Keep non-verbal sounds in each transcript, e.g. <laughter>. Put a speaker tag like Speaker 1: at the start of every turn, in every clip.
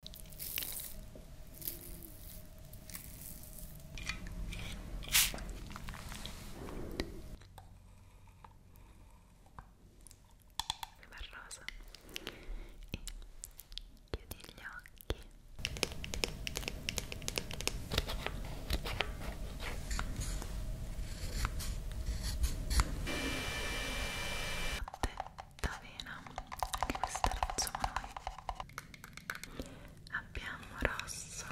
Speaker 1: bel rosa e chiudi gli occhi Buonanotte d'avena anche questa rizzoma noi abbiamo rosso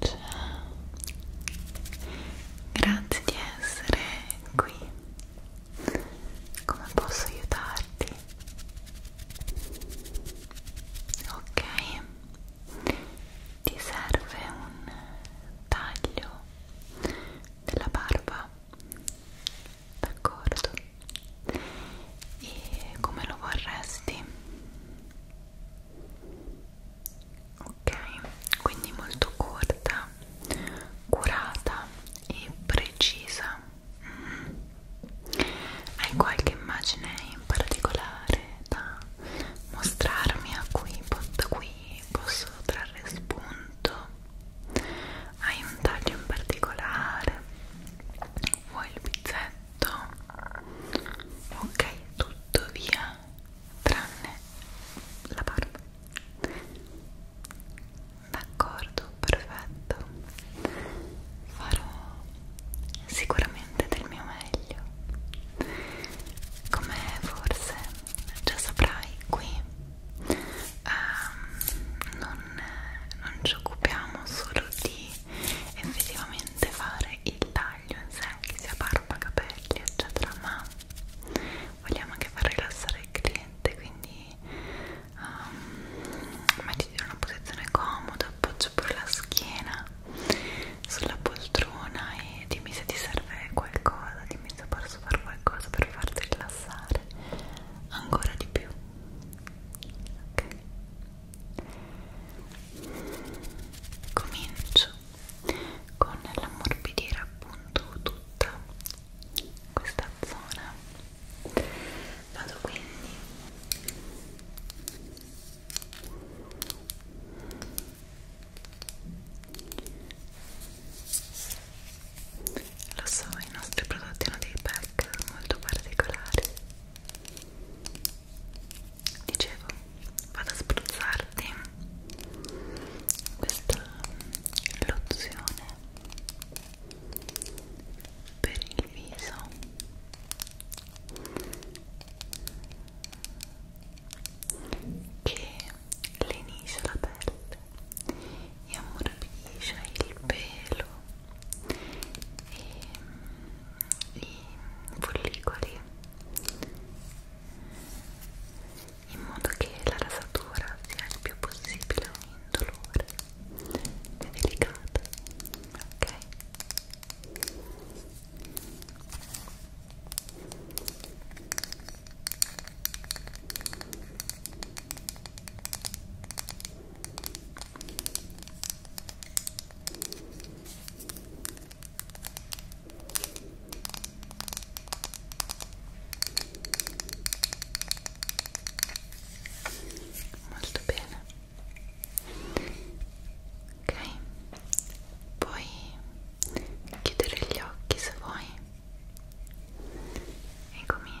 Speaker 1: Ciao, grazie di essere qui come posso aiutarti? Ok, ti serve un taglio della barba, d'accordo? E come lo vorresti? ok quindi molto corta curata e precisa mm. hai qualche immagine in particolare da mostrarmi a cui da qui posso trarre spunto hai un taglio in particolare vuoi il pizzetto ok tutto via tranne la barba d'accordo perfetto farò sicuramente del mio meglio come forse già saprai qui um, non, non ci occupiamo solo di effettivamente fare il taglio in sé che sia barba capelli eccetera ma vogliamo anche far rilassare il cliente quindi um, mettiti in una posizione comoda appoggia pure la schiena sulla poltrona e dimmi se ti serve qualcosa dimmi se posso fare qualcosa per farti rilassare ancora di più ok comincio con l'ammorbidire appunto tutta questa zona vado quindi lo so i nostri prodotti hanno dei pack molto particolari dicevo vado a spruzzarti questa lozione per il viso che lenisce la pelle e ammorbidisce il pelo e i follicoli in modo che la rasatura sia il più possibile indolore e delicata ok ok molto bene ok puoi chiudere gli occhi se vuoi e comincio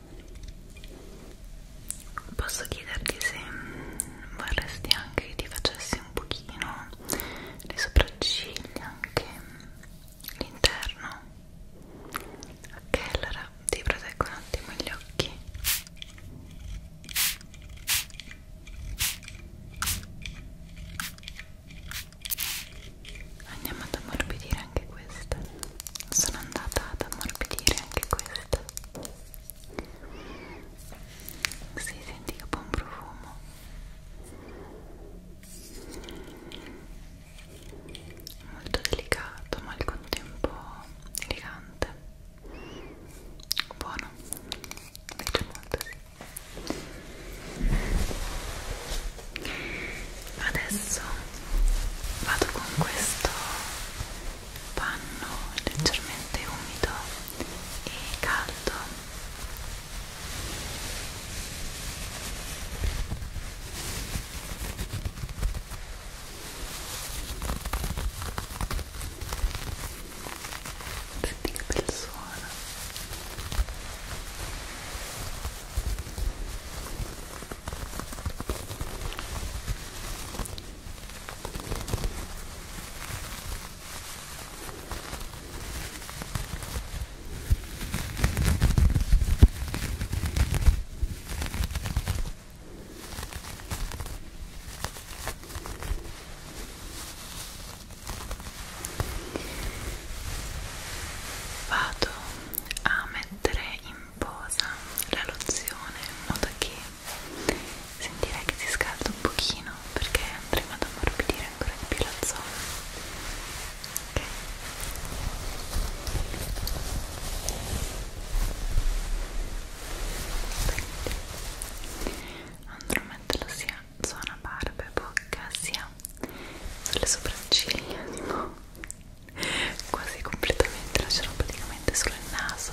Speaker 1: Posso chiederti se vorresti anche che ti facessi un pochino le sopracciglia, anche l'interno. Ok, allora ti proteggo un attimo gli occhi. Andiamo ad ammorbidire anche questa. Sono andata ad ammorbidire anche questa si senti che buon profumo molto delicato ma al contempo elegante buono mi piace molto sì. adesso vado con questo panno leggermente umido e caldo senti che bel suono Vado a mettere in pomposa la lozione in modo che sentirei che si scalda un pochino perché andremo ad ammorbidire ancora di più la zona ok andrò a metterlo sia zona barba e bocca sia sulle sopracciglia tipo quasi completamente lascerò praticamente solo il naso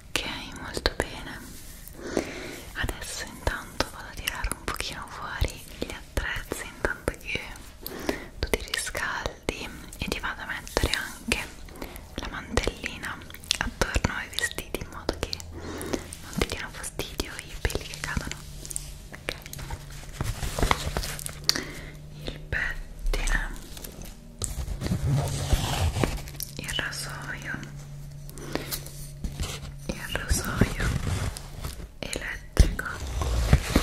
Speaker 1: ok molto bene adesso intanto vado a tirare un pochino fuori gli attrezzi intanto che tu ti riscaldi e ti vado a mettere anche la mantellina attorno ai vestiti in modo che non ti diano fastidio i peli che cadono ok il pettine il rasoio e al rosario elettrico okay.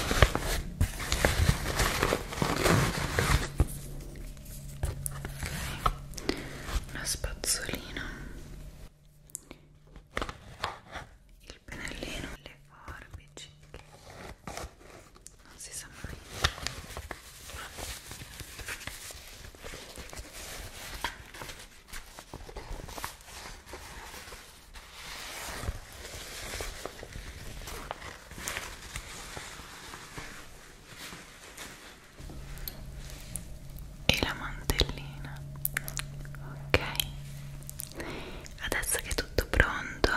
Speaker 1: una spazzolina il pennellino le forbici non si sa mai e la mantellina ok adesso che è tutto pronto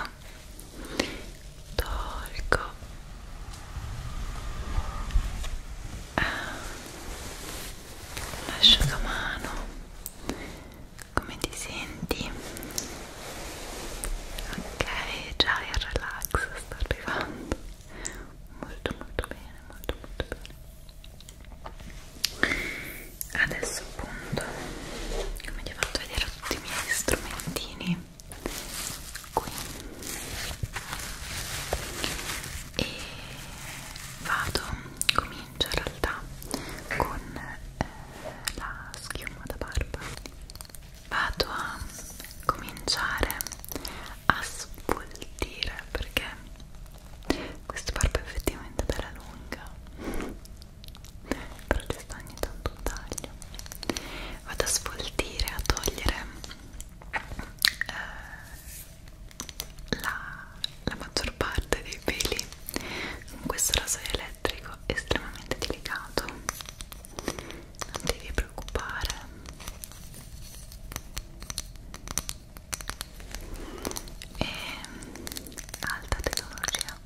Speaker 1: tolgo eh, l'asciugamano come ti senti? ok già il relax sta arrivando molto molto bene molto molto bene adesso appunto come ti ho fatto vedere tutti i miei strumentini qui e vado, comincio in realtà con eh, la schiuma da barba vado a cominciare a svoltire perché questa barba è effettivamente bella lunga però ci sta ogni tanto un taglio vado a sfoltire, a togliere eh, la, la maggior parte dei peli con questo rasoio elettrico estremamente delicato non devi preoccupare e alta tecnologia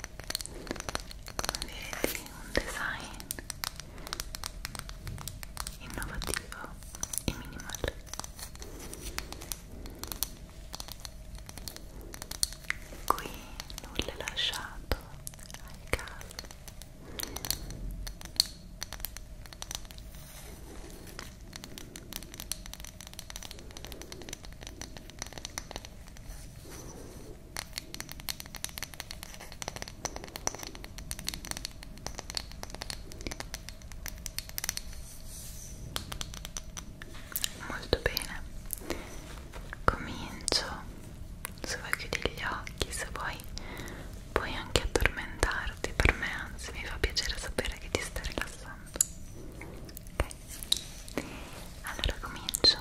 Speaker 1: come vedi un design innovativo e minimal qui nulla è lasciato al caso molto bene comincio se vuoi chiudi gli occhi se vuoi puoi anche addormentarti per me anzi mi fa piacere sapere che ti stai rilassando ok allora comincio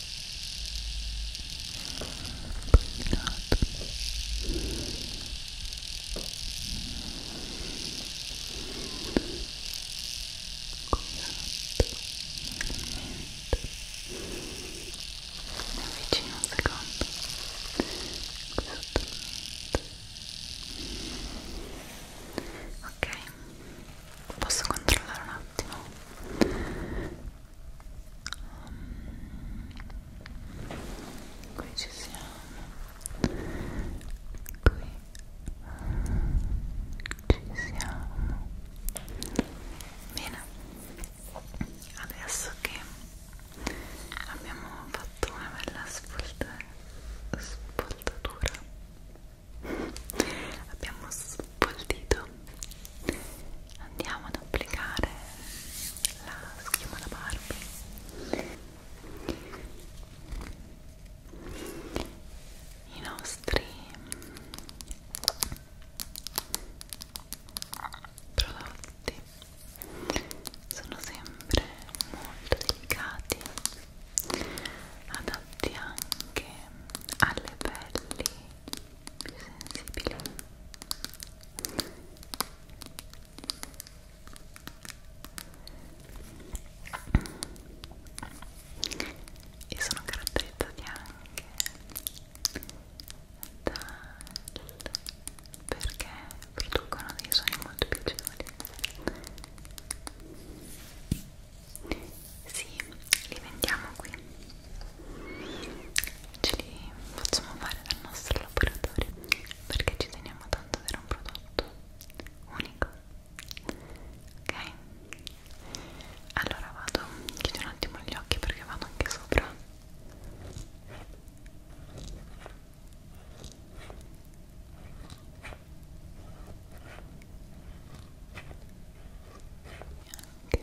Speaker 1: combinato mi avvicino un secondo ok posso controllare un attimo Um, qui ci siamo qui ehm, ci siamo bene adesso che abbiamo fatto una bella spolta, spoltatura abbiamo sp col dito andiamo ad applicare la schiuma da Barbie i nostri prodotti sono sempre molto delicati adatti anche alle pelli più sensibili e sono caratterizzati anche dal perché producono dei suoni molto piacevoli sì, li vendiamo qui ce li facciamo fare dal nostro laboratorio perché ci teniamo tanto ad avere un prodotto unico ok? allora vado chiudo un attimo gli occhi perché vado anche sopra Okay.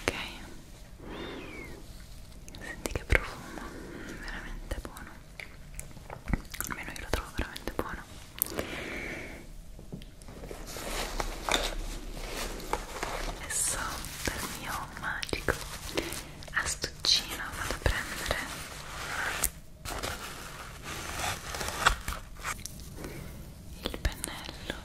Speaker 1: ok senti che profumo veramente buono almeno io lo trovo veramente buono adesso per il mio magico astuccino vado a prendere il pennello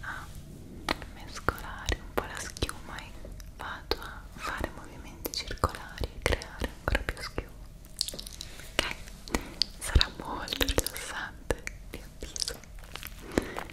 Speaker 1: a mescolare un po' la schiuma e vado a fare movimenti circolari e creare ancora più schiuma ok? sarà molto rilassante vi avviso ok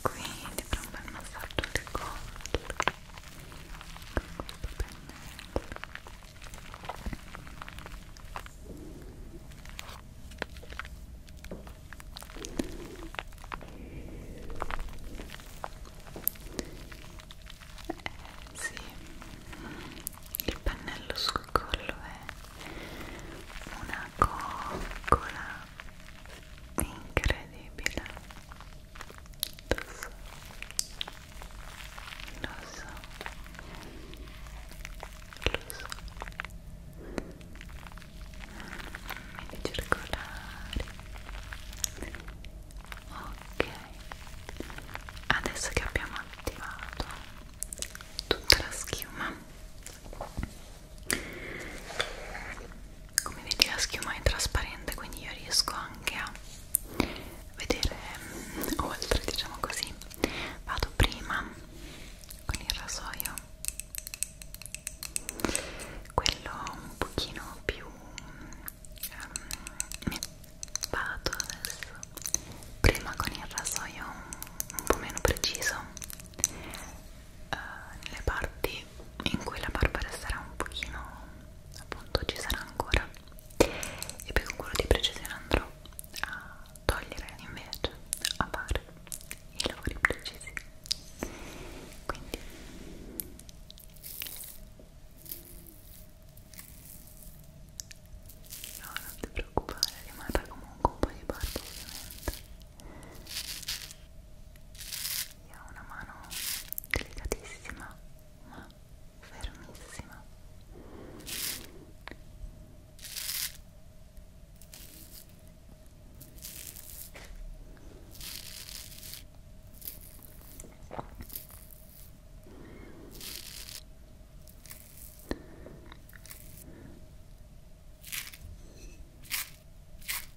Speaker 1: qui ti farò un bel massaggio del collo con questo pennello eh sì il pennello sul collo è una coccola incredibile lo so lo so lo so mini circolari ok adesso che abbiamo attivato tutta la schiuma come vedi la schiuma è trasparente quindi io riesco anche a vedere mm, oltre diciamo così vado prima con il rasoio quello un pochino più um, vado adesso prima con il rasoio un po' meno preciso eh, nelle parti in cui la barba resterà un pochino appunto ci sarà ancora e poi con quello di precisione andrò a togliere invece a fare i lavori precisi quindi no non ti preoccupare rimarrà comunque un po' di barba ovviamente io ho una mano delicatissima ma fermissima. Io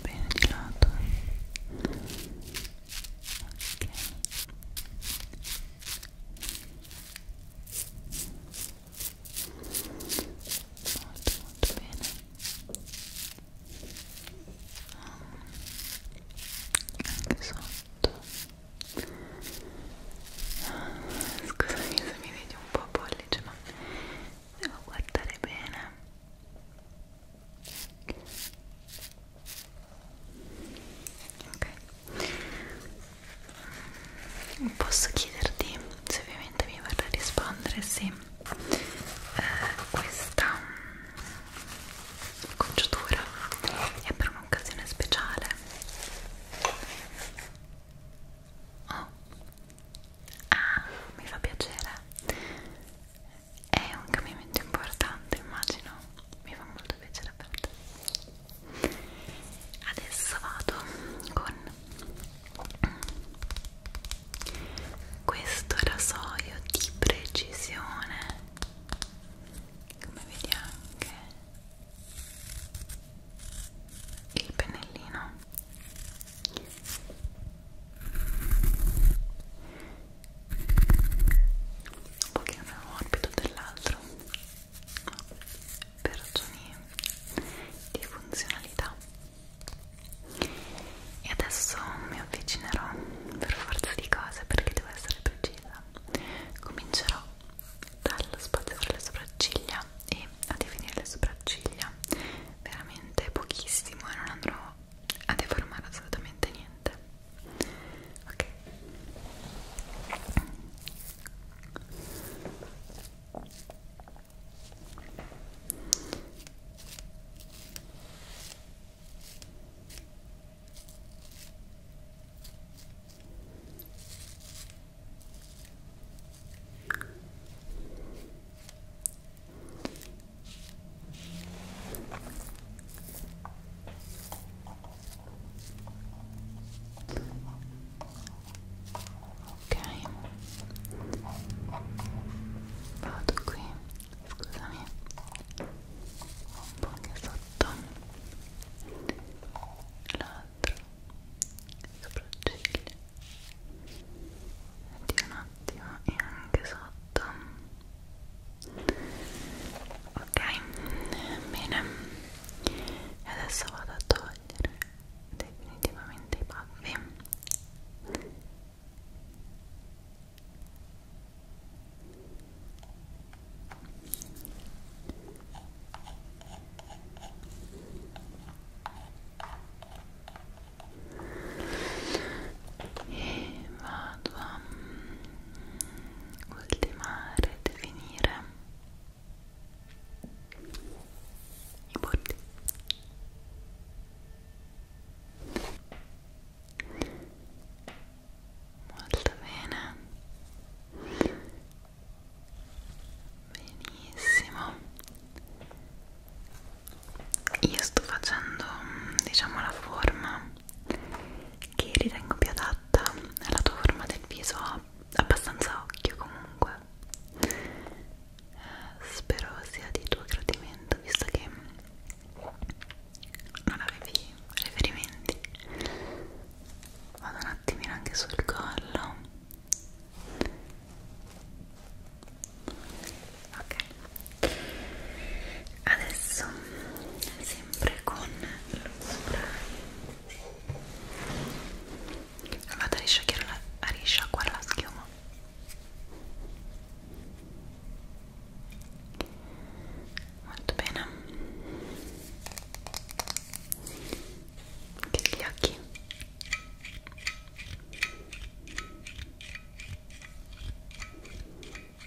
Speaker 1: bene di lato ok molto molto bene anche sotto ah, scusami se mi vedi un po' pollice ma devo guardare bene ok posso chiederti se ovviamente mi vorrai rispondere se eh, questa mm, conciatura è per un'occasione speciale oh. ah mi fa piacere è un cambiamento importante immagino mi fa molto piacere per te adesso vado con questo rasoio di precisione come vedi anche il pennellino un pochino meno morbido dell'altro per ragioni di funzionalità e adesso mi avvicinerò per forza di cose perché devo essere precisa comincerò dallo spazio fra le sopracciglia e a definire le sopracciglia veramente pochissimo e non andrò a deformare assolutamente niente ok ok vado qui scusami un po' anche sotto l'altro sopracciglia di un attimo e anche sotto ok bene adesso vado a togliere definitivamente i baffi ok e vado a mm, ultimare, definire i bordi molto bene benissimo io sto facendo diciamo la forma che ritengo più adatta alla tua forma del viso abbastanza occhio comunque eh, spero sia di tuo gradimento visto che non avevi riferimenti vado un attimino anche sul collo ok adesso sempre con lo spray vado a risciacquare la, a risciacquare la schiuma molto bene chiudi gli occhi Ok,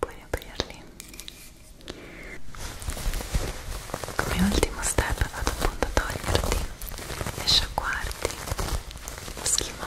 Speaker 1: puoi aprirli. Come ultimo step vado appunto a toglierti e sciacquarti la schiuma.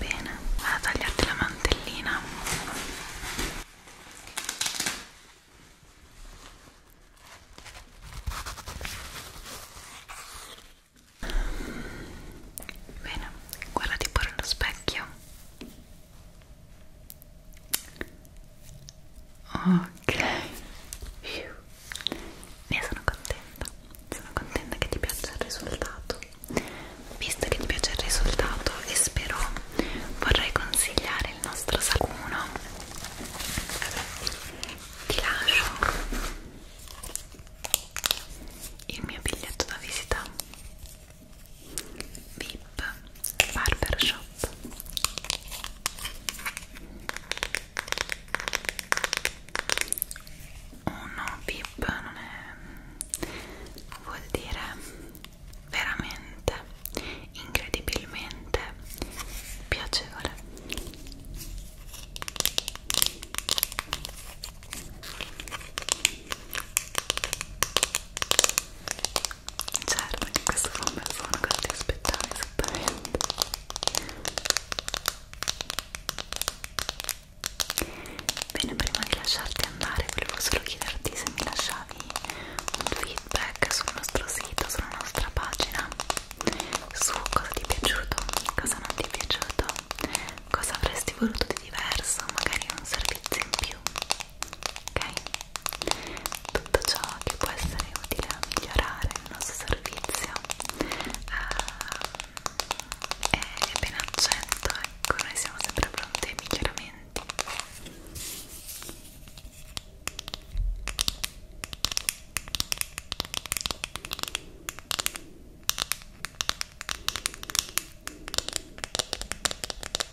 Speaker 1: Bene, vado a tagliarti la mantellina. Bene, guardati pure allo specchio ok ne sono contenta sono contenta che ti piaccia il risultato visto che ti piace il risultato e spero vorrei consigliare il nostro sacuno ti lascio il mio biglietto da visita VIP Barbershop uno VIP non è vuol dire veramente incredibilmente piacevole certo che questo fa un bel suono che ti aspettavi esattamente bene prima di lasciarti andare volevo solo chiederti se mi lasciavi un feedback sul nostro sito sulla nostra pagina su cosa ti è piaciuto cosa non ti è piaciuto cosa avresti voluto di diverso magari un servizio in più ok? Tutto ciò che può essere utile a migliorare il nostro servizio uh, eh, è, è ben accetto, ecco, noi siamo sempre pronti ai miglioramenti. Ok,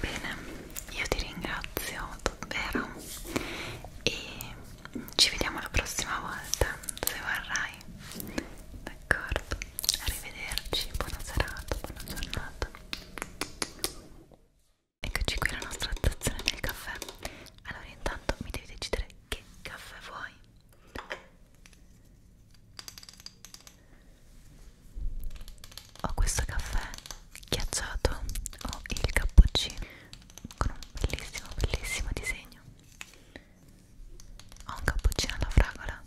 Speaker 1: Bene, io ti ringrazio davvero e ci vediamo la prossima volta se vorrai. D'accordo? Arrivederci, buona serata, buona giornata. Eccoci qui alla nostra stazione del caffè. Allora, intanto mi devi decidere che caffè vuoi ho questo caffè ghiacciato ho il cappuccino con un bellissimo bellissimo disegno ho un cappuccino alla fragola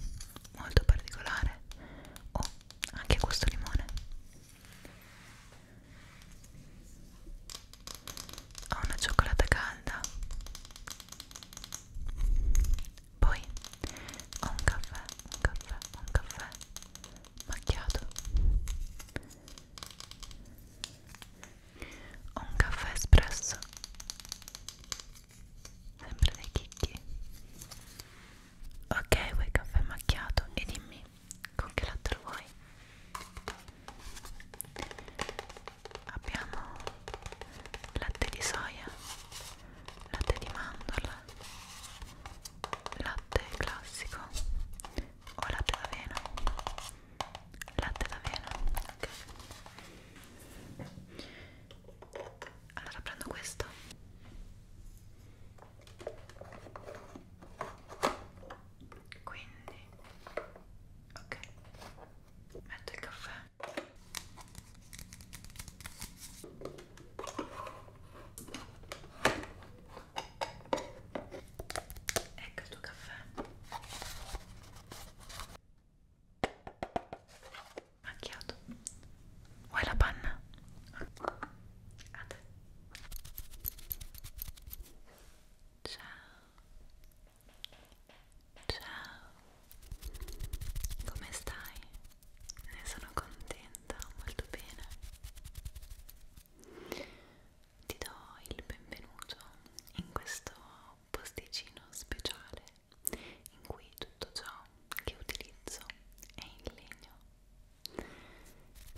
Speaker 1: molto particolare ho anche questo limone ho una cioccolata calda poi ho un caffè, un caffè, un caffè macchiato. Ho un caffè espresso. Sempre dei chicchi. Ok, vuoi caffè macchiato e dimmi con che latte lo vuoi? Abbiamo latte di soia, latte di mandorla, latte classico o latte d'avena latte d'avena ok allora prendo questo quindi ok metto il caffè Ecco il tuo caffè. Macchiato. Vuoi la panna? A te. Ciao. Ciao. Come stai? ne sono contenta, molto bene. Ti do il benvenuto in questo posticino speciale in cui tutto ciò che utilizzo è in legno.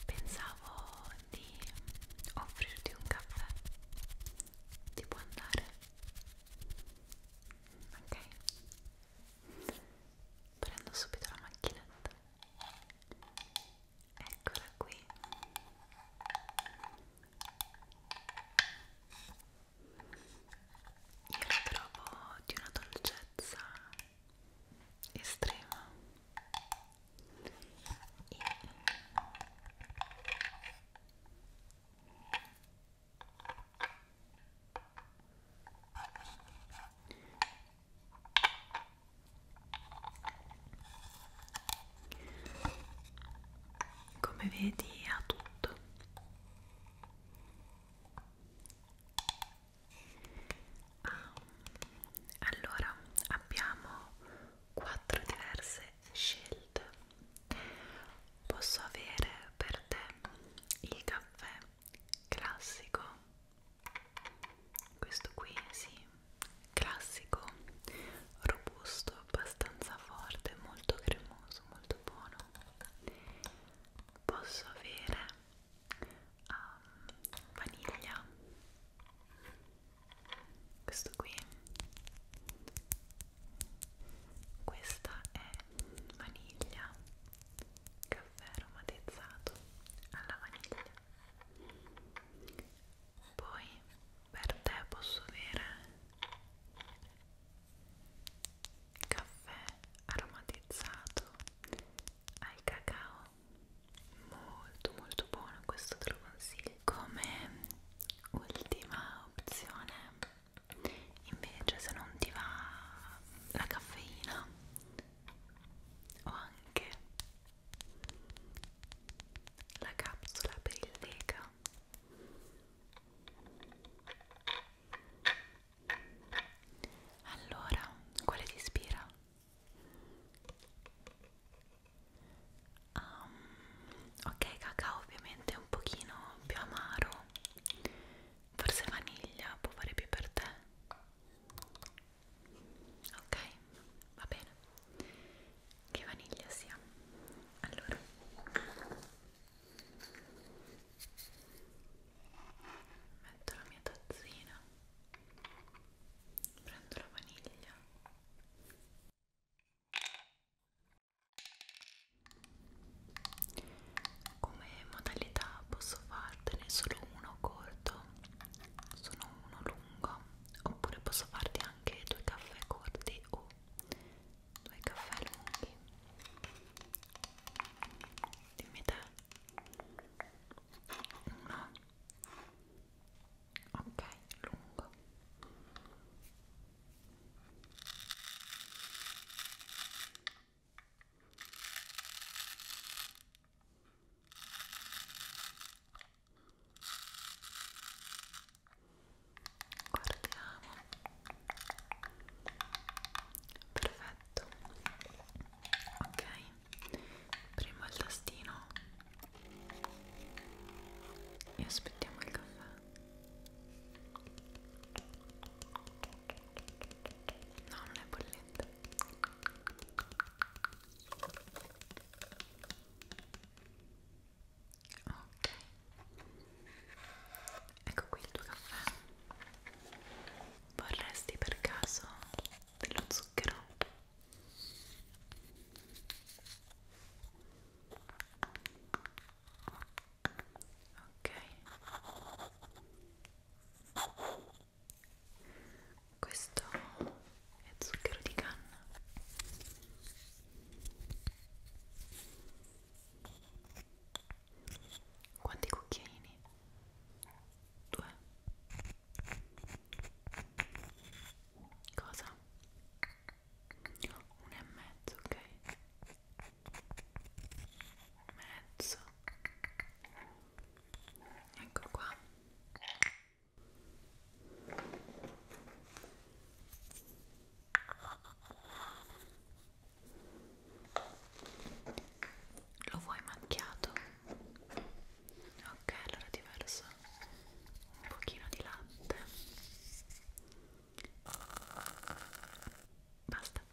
Speaker 1: Pensavo di offrirti un caffè. Ti può andare? Ok prendo subito la macchinetta eccola qui io la trovo di una dolcezza estrema e come vedi ha tutto. Ah, allora abbiamo quattro diverse scelte. Posso avere per te il caffè classico questo qui sì classico robusto abbastanza forte molto cremoso molto buono posso avere um, vaniglia questo qui questa è vaniglia che caffè aromatizzato alla vaniglia poi per te posso avere caffè aromatizzato al cacao molto molto buono questo te lo consiglio come ultima opzione invece se non ti va la caffeina ho anche la capsula per il lega allora quale ti ispira? Um, ok cacao ovviamente è un pochino più amaro forse vaniglia può fare più per te ok va bene che vaniglia sia allora metto la mia tazzina prendo la vaniglia come modalità posso fartene solo uno corto sono uno lungo oppure posso farti anche due caffè corti o due caffè lunghi dimmi te uno ok lungo Guardiamo. Perfetto. Ok. Prima il tastino. E aspettiamo il caffè. No, non è bollente. Ok. Ecco qui il tuo caffè. Vorresti per caso dello zucchero? Ok questo è zucchero di canna quanti cucchiaini? due cosa? uno e mezzo, ok? mezzo ecco qua lo vuoi macchiato? ok allora ti verso un pochino di latte basta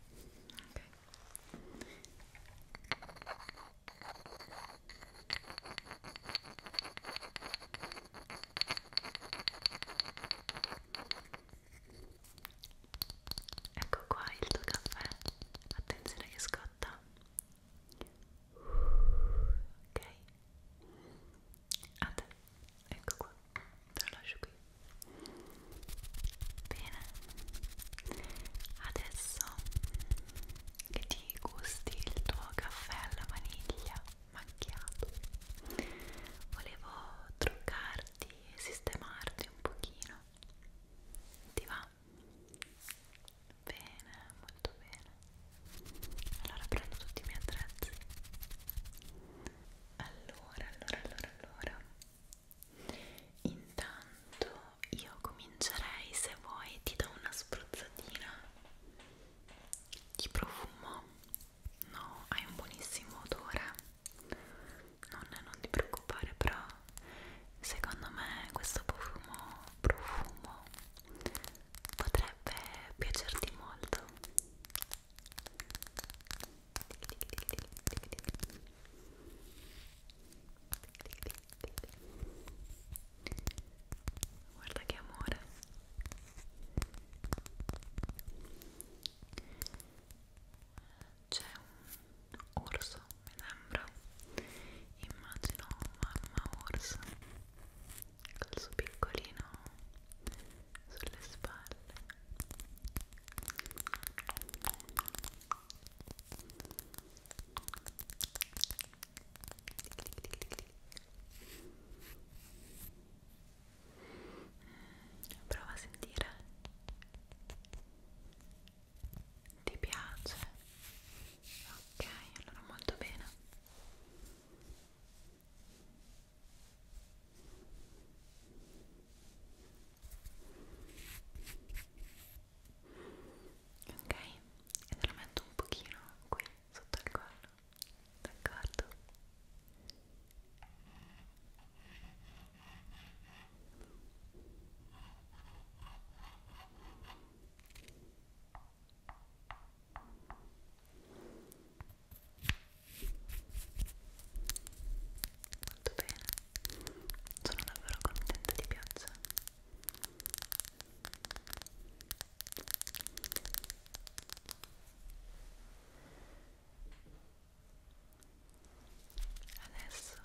Speaker 1: Ecco qua il tuo caffè, attenzione che scotta. Ok, a te, ecco qua, te lo lascio qui. Bene, adesso che ti gusti il tuo caffè alla vaniglia macchiato, volevo truccarti e sistemarti un pochino. Ti va? Bene, molto bene. Allora prendo tutti i miei attrezzi. Allora, allora, allora, allora. Intanto io comincerei se vuoi ti do una spruzzatina di profumo. No, hai un buonissimo odore. Non, non ti preoccupare, però secondo me questo profumo profumo potrebbe piacerti molto. Guarda che amore. C'è un orso, mi sembra. Immagino mamma orso col suo piccolino sulle spalle. Guarda Prova a sentire. Ti piace? Ok, allora molto bene. Ok, ok? e te lo metto un pochino qui sotto il collo d'accordo? molto bene sono davvero contenta di piaccia adesso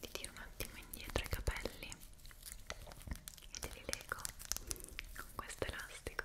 Speaker 1: ti tiro un attimo indietro i capelli e te li leggo con questo elastico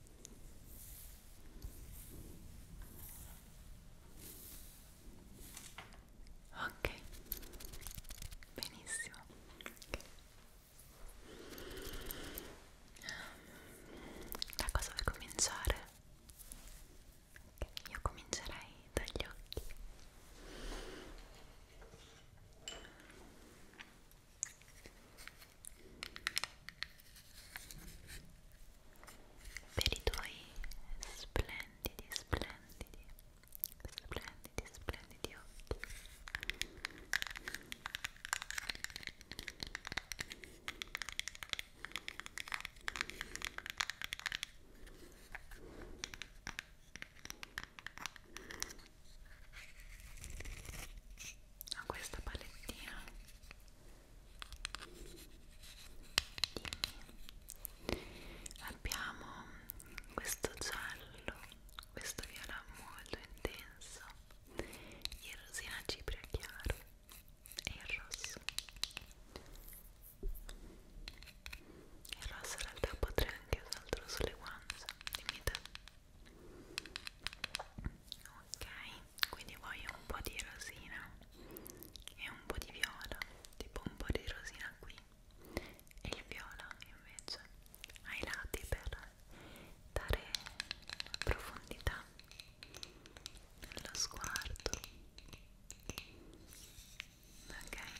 Speaker 1: Ok, benissimo. Da cosa vuoi cominciare? Io comincerei dagli occhi per i tuoi splendidi, splendidi, splendidi, splendidi occhi. Ho questa palettina Dimmi. abbiamo questo giallo questo viola molto intenso il rosina cipria chiaro e il rosso il rosso in realtà potrei anche usarlo sulle guance dimmi te ok quindi voglio un po' di rosina e un po' di viola tipo un po' di rosina qui e il viola invece ai lati per dare profondità nello sguardo ok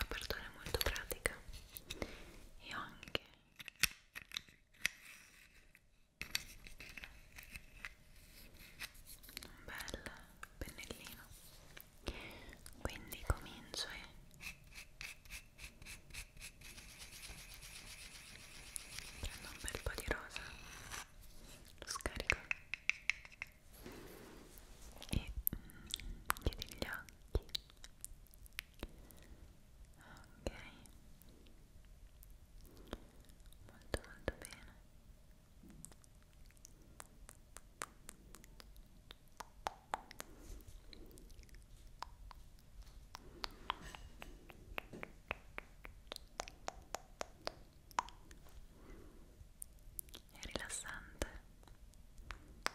Speaker 1: l'apertura è molto pratica e anche un bel pennellino quindi comincio e prendo un bel po' di rosa lo scarico e chiudi gli occhi ok molto molto bene è rilassante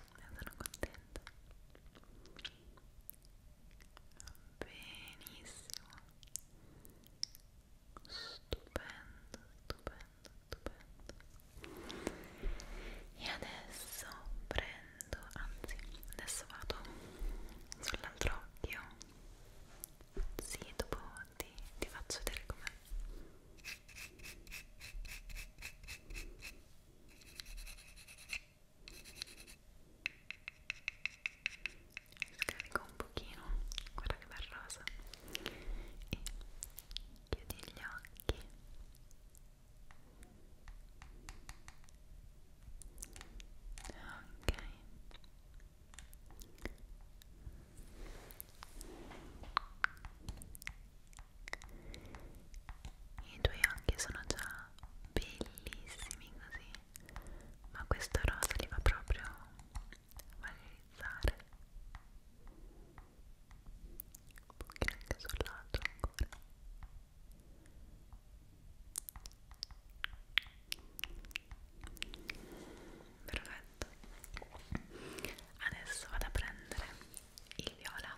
Speaker 1: ne sono contenta benissimo stupendo stupendo stupendo e adesso prendo anzi adesso vado sull'altro occhio sì dopo ti, ti faccio vedere com'è Scarico un pochino, guarda che bel rosa e chiudi gli occhi ok i tuoi occhi sono già bellissimi così, ma questo rosa li va proprio a valorizzare. Un pochino anche sul lato ancora. Perfetto. Adesso vado a prendere il viola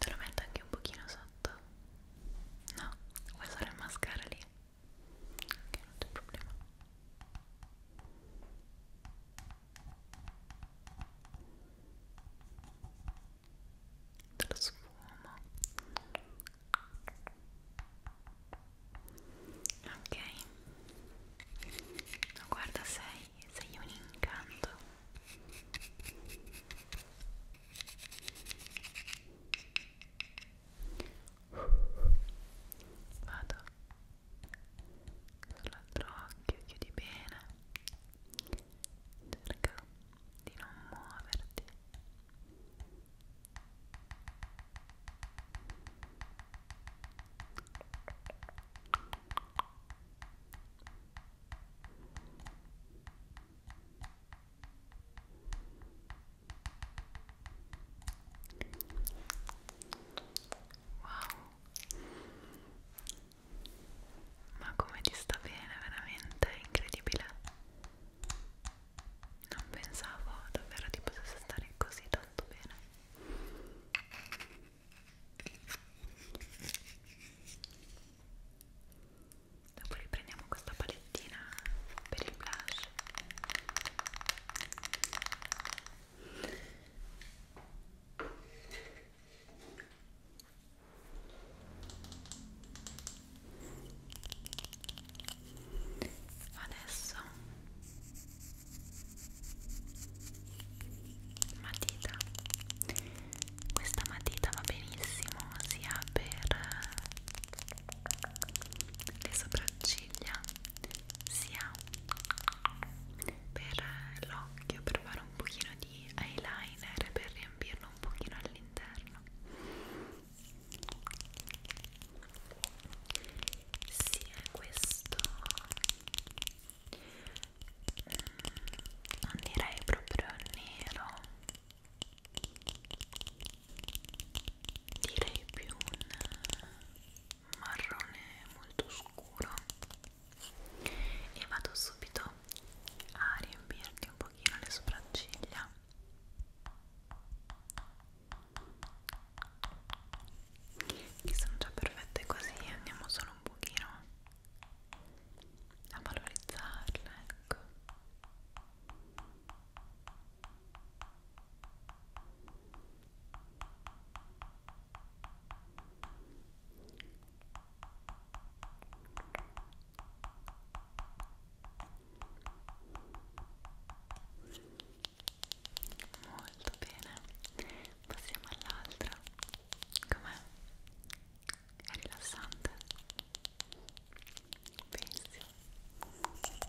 Speaker 1: Te lo metto anche un pochino sotto? No, vuoi usare il mascara lì? Ok, non c'è problema. Te lo sfumo ok no, guarda sei sei un incanto vado sull'altro occhio chiudi bene cerca di non muoverti Wow. Ma come ti sta bene, veramente incredibile. Non pensavo davvero ti potesse stare così tanto bene. Dopo riprendiamo questa palettina per il blush. Adesso matita questa matita va benissimo sia per le sopracciglia sia per l'occhio per fare un pochino di eyeliner per riempirlo un pochino all'interno sì è questo mm, non direi proprio nero direi più un marrone molto scuro e vado subito a riempirti un pochino le sopracciglia che sono già perfette così andiamo solo un pochino a valorizzarle ecco molto bene passiamo all'altra com'è? è rilassante? pensi? ok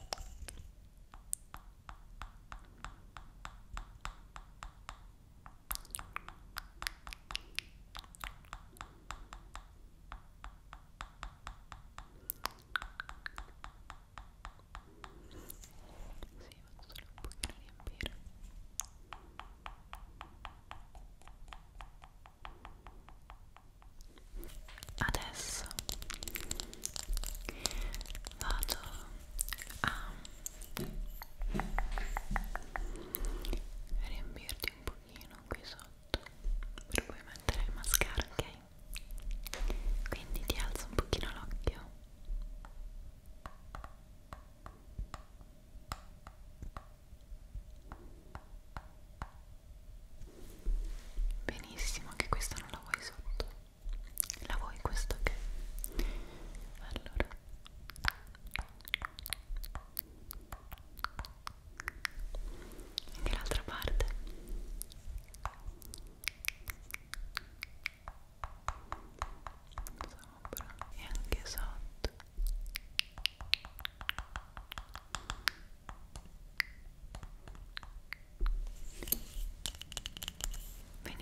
Speaker 1: solo un pochino a riempire adesso vado a riempirti un pochino qui sotto per poi mettere il mascara ok quindi ti alzo un pochino l'occhio benissimo che questo non la vuoi sotto la vuoi questo che okay. allora anche l'altra parte sopra e anche sotto benissimo Ora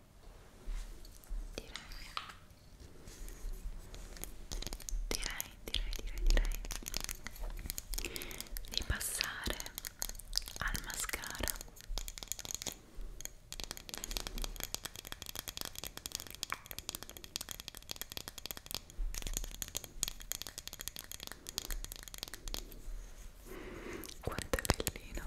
Speaker 1: direi direi direi direi direi di passare al mascara quanto è bellino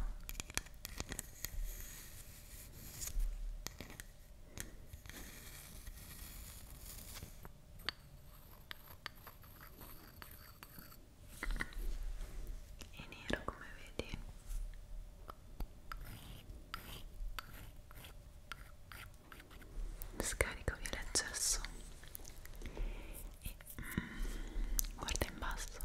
Speaker 1: è nero come vedi scarico via l'eccesso e mm, guarda in basso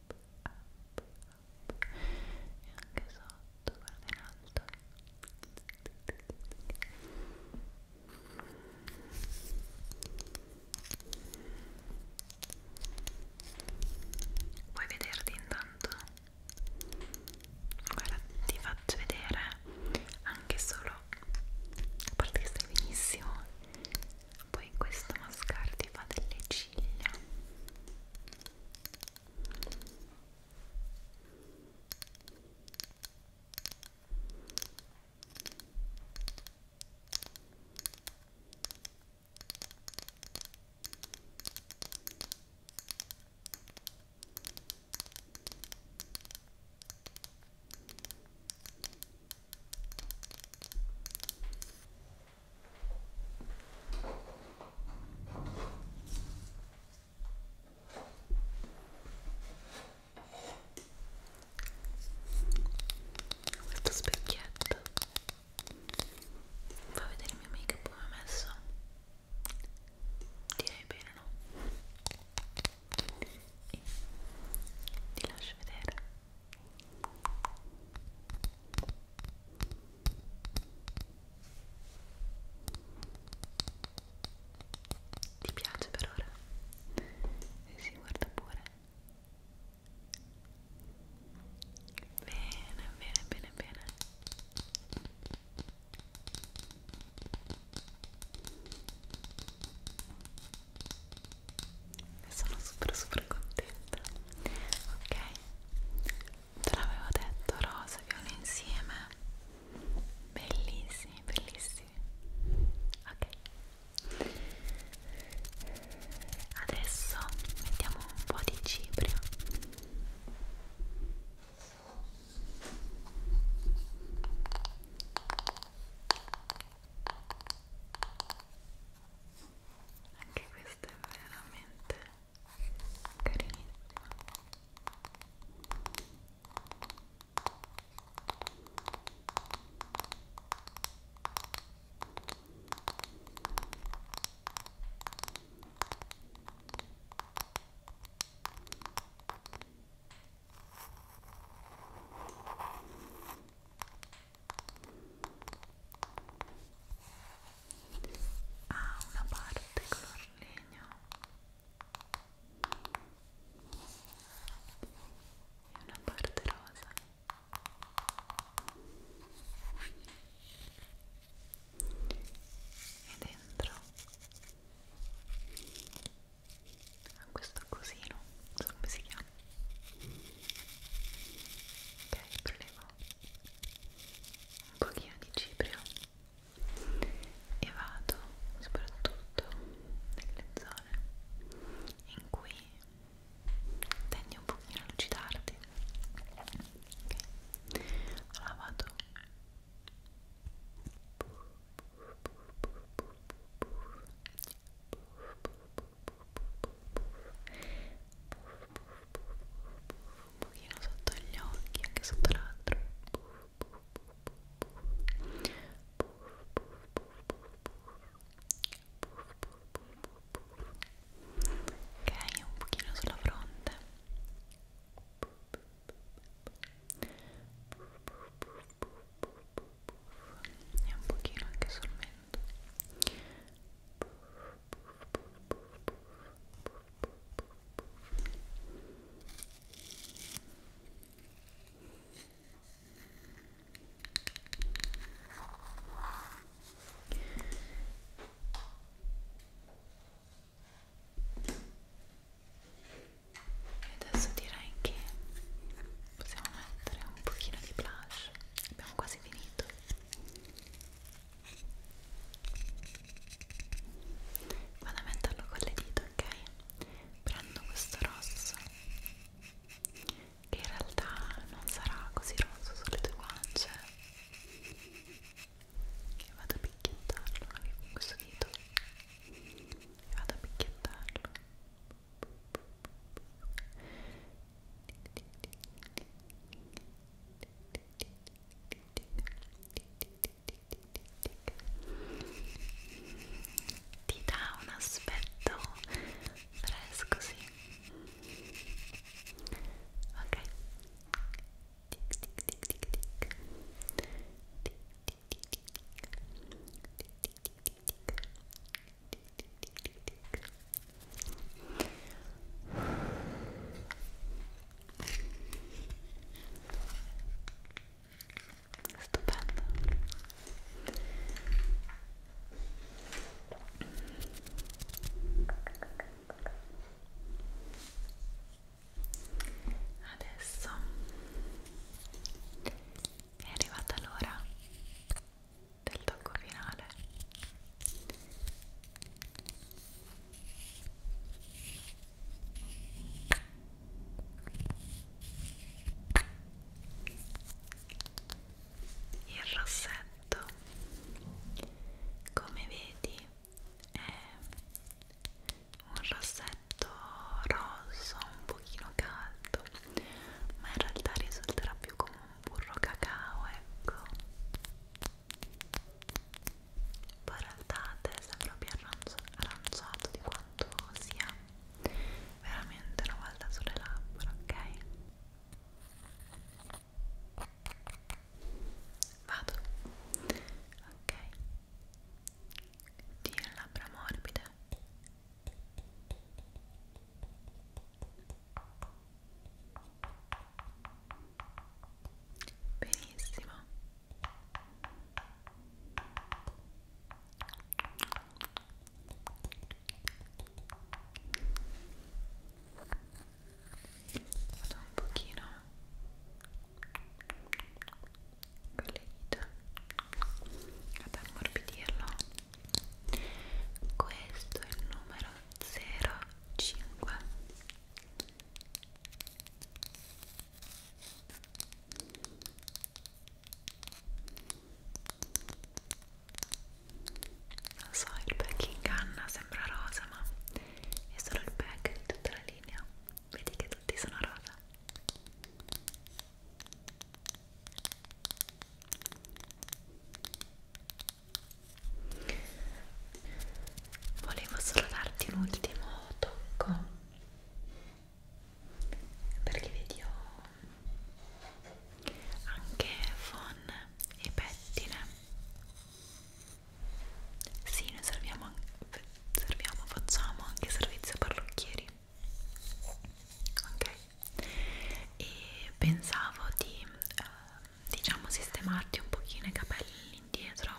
Speaker 1: up, up e anche sotto, guarda in alto Vuoi vederti intanto? Guarda, ti faccio vedere anche solo a parte che stai benissimo poi questo mascara ti fa delle ciglia questo specchietto fa vedere il mio make up come ho messo direi bene no? e ti lascio vedere ti piace per ora? Sì, sì, guarda pure. Bene, bene, bene, bene ne sono super super contenta ok te l'avevo detto rosa e viola insieme bellissimi bellissimi ok adesso mettiamo un po' di cipria ok anche questa è veramente carinissima ha una parte color legno e una parte rosa e dentro a questo cosino, non so come si chiama ok prelevo un pochino di ciprio e vado soprattutto nelle zone in cui tendi un pochino a lucidarti ok allora vado Puff, puff, puff, puff, puff, puff, puff, puff, puff, un pochino sotto gli occhi, anche sotto l'altro ok, un pochino sulla fronte e un pochino anche sul mento e adesso direi che possiamo mettere un pochino di blush abbiamo quasi finito vado a metterlo con le dita ok prendo questo rosso che in realtà non sarà così rosso sulle tue guance e vado a picchiettarlo anche con questo dito e vado a picchiettarlo ti dà un aspetto fresco, sì. Ok. Tic tic tic tic tic. Tic tic tic tic tic. Tic tic tic tic tic. Tic tic tic tic tic. Stupendo. Adesso è arrivata l'ora del tocco finale il rossetto come vedi è un rossetto rosso un pochino caldo ma in realtà risulterà più comune burro cacao, ecco poi in realtà sembra più aranciato di quanto sia veramente una volta sulle labbra, ok? Vado, ok, tiro labbra morbide benissimo vado un pochino con le dita ad ammorbidirlo questo è il numero zero cinque non so il pack inganna sembra rosa ma è solo il pack di tutta la linea vedi che tutti sono rosa volevo solo darti un ultimo tocco perché vedi ho anche fon e pettine sì noi serviamo, serviamo facciamo anche servizio parrucchieri ok e pensavo di uh, diciamo sistemarti un pochino i capelli indietro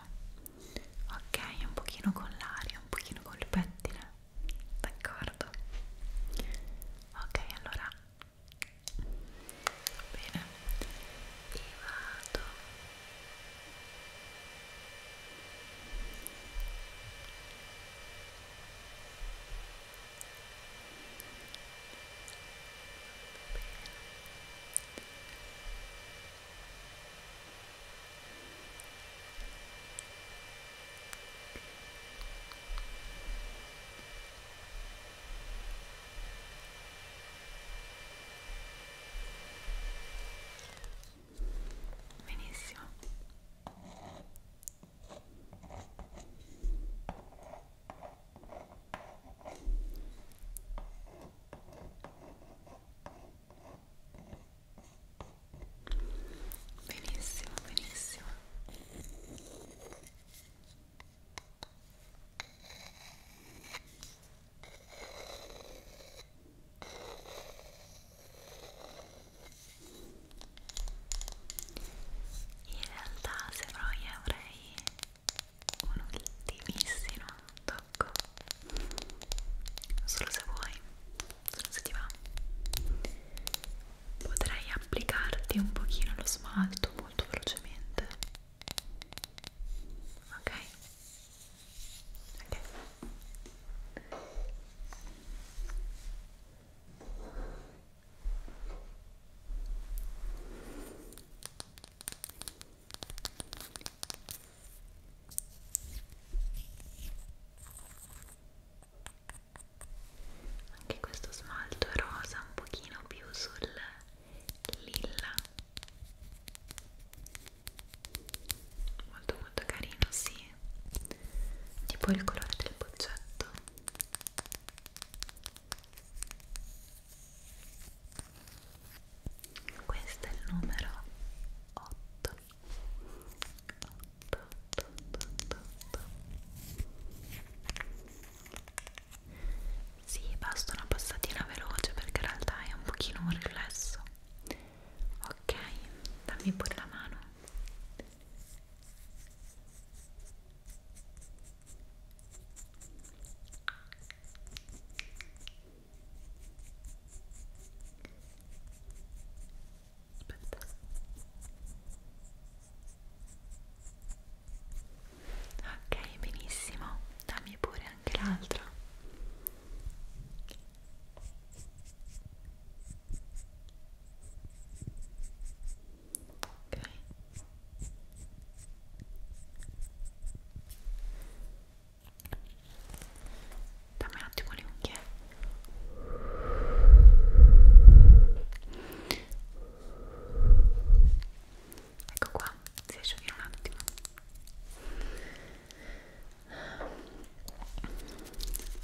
Speaker 1: ok un pochino con l'aria un pochino col pettine d'accordo ok allora bene e vado ok Benissimo. Benissimo, benissimo. In realtà se no io avrei un ultimissimo tocco solo se vuoi solo se ti va potrei applicarti un pochino lo smalto molto velocemente ok ok anche questo smalto è rosa un pochino più sul lilla molto molto carino sì tipo il colore del boccetto questo è il numero 8 8 8 8 8, 8. Sì, basta una passatina veloce perché in realtà è un pochino un riflesso ok, dammi pure la mano Aspetta. Ok, benissimo. Dammi pure anche l'altra. Ok dammi un attimo le unghie ecco qua si asciughino un attimo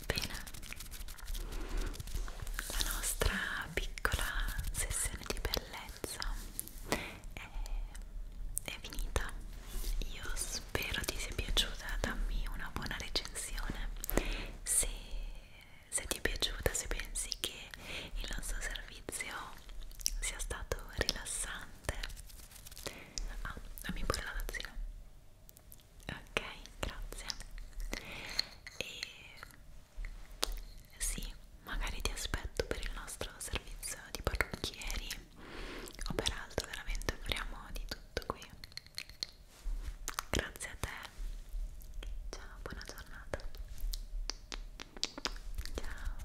Speaker 1: bene la nostra piccola sessione di bellezza bellezza è, è finita io spero ti sia piaciuta dammi una buona recensione se, se ti è piaciuta se pensi che il nostro servizio sia stato rilassante ah dammi pure la tazzina ok grazie e sì, magari ti aspetto per il nostro servizio di parrucchieri o per altro, veramente offriamo di tutto qui. Grazie a te. Ciao, buona giornata. Ciao.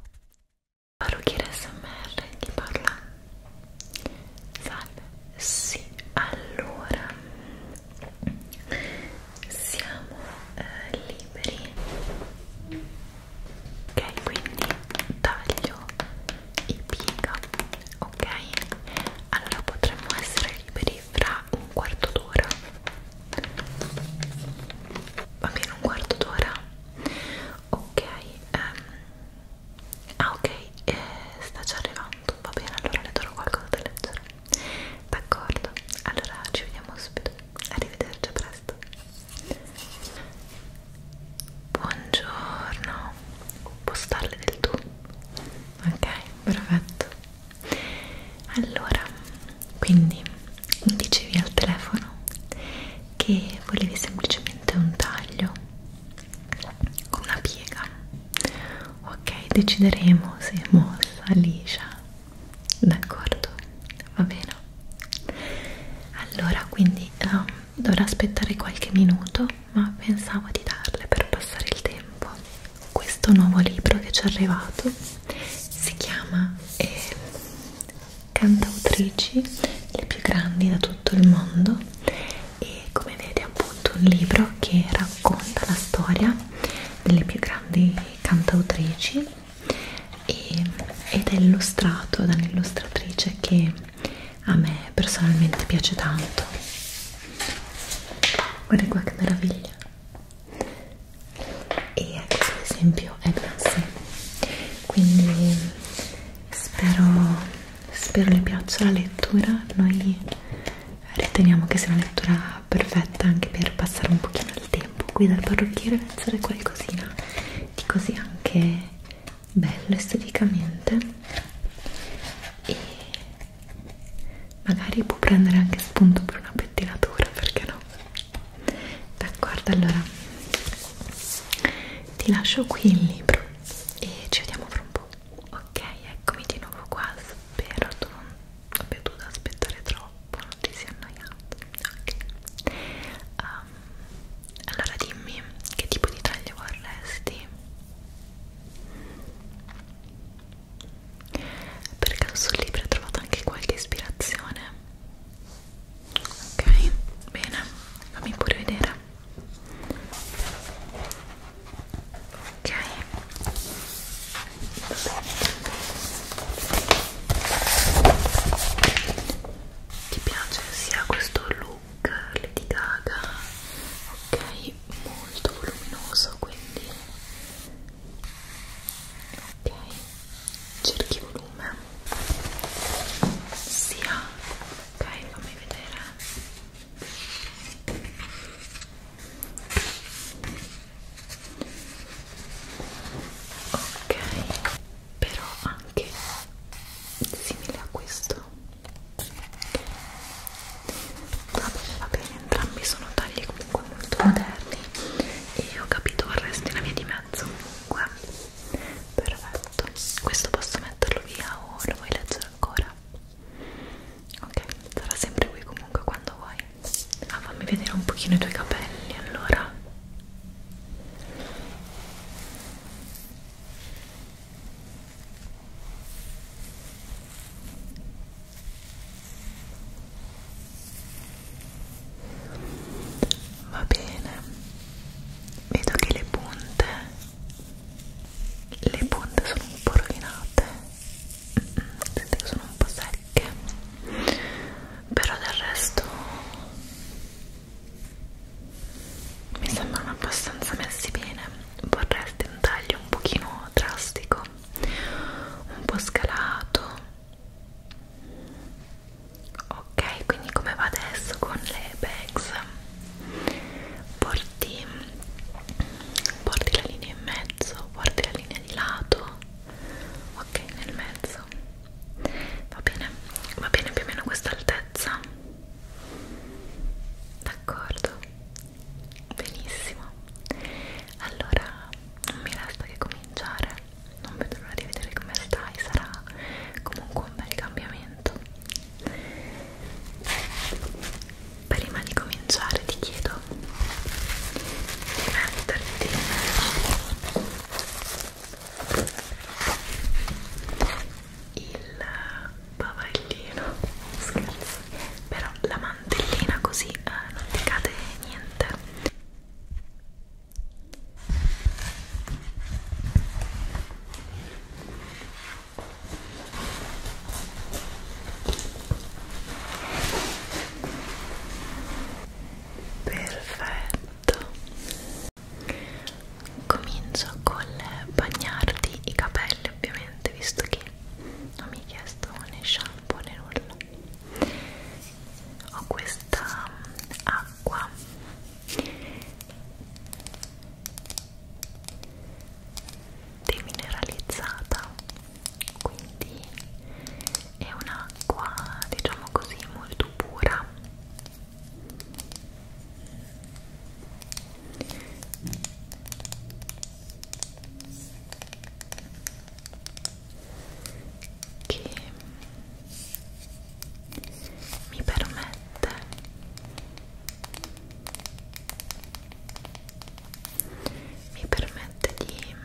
Speaker 1: Parrucchiere SMR chi parla? Salve. Sì, allora siamo eh, liberi ok quindi taglio e piega ok allora potremmo essere liberi fra un quarto d'ora va bene un quarto d'ora ok um, ah ok eh, sta già arrivando va bene allora le darò qualcosa da leggere d'accordo allora ci vediamo subito arrivederci a presto posto buongiorno può starle del tu ok perfetto allora quindi mi dicevi al telefono che volevi semplicemente un taglio con una piega ok decideremo se è mossa liscia d'accordo va bene allora quindi um, dovrò aspettare qualche minuto ma pensavo di darle per passare il tempo questo nuovo libro che ci è arrivato si chiama eh, cantautrici le più grandi da tutto il mondo e come vede è appunto un libro che racconta la storia delle più grandi cantautrici e, ed è illustrato da un'illustratrice che a me personalmente piace tanto guarda qua che meraviglia e questo ad esempio è classe quindi spero spero le piaccia la lettura noi riteniamo che sia una lettura perfetta anche per passare un pochino il tempo tempo qui dal parrucchiere pensare qualcosina di così anche bello esteticamente e magari può prendere anche spunto per una pettinatura perché no d'accordo allora ti lascio qui il libro e ci vediamo fra un po' ok eccomi di nuovo qua spero tu non abbia dovuto aspettare troppo troppo, non ti sei annoiato. Ok. Um, allora dimmi che tipo di taglio vorresti? Per caso sul libro ho trovato anche qualche ispirazione. Ok, bene, fammi pure vedere. Ok. Va bene ti piace sia questo look Lady Gaga ok molto voluminoso quindi ok cerchi volume sia ok fammi vedere ok però anche simile a questo va bene va bene entrambi sono tagli comunque molto moderni e ho capito vorresti la via di mezzo comunque perfetto questo posso metterlo via o lo vuoi leggere ancora ok sarà sempre qui comunque quando vuoi ah fammi vedere un pochino i tuoi capelli allora Va bene, vedo che le punte, le punte sono un po' rovinate, sento che sono un po' secche però del resto mi sembrano abbastanza messi bene vorresti un taglio un pochino drastico un po' scalato ok quindi come va adesso con le bags porti porti la linea in mezzo porti la linea di lato ok nel mezzo va bene va bene più o meno questa altezza d'accordo benissimo allora non mi resta che cominciare non vedo l'ora di vedere come stai sarà comunque un bel cambiamento prima di cominciare ti chiedo di metterti il bavaglino scherzo però la mantellina così eh, non ti cade niente perfetto tutto esatto. comincio col bagnarti i capelli ovviamente visto che non mi hai chiesto né shampoo né nulla ho questa mm, acqua demineralizzata quindi è un'acqua diciamo così molto pura che mi permette mi permette di,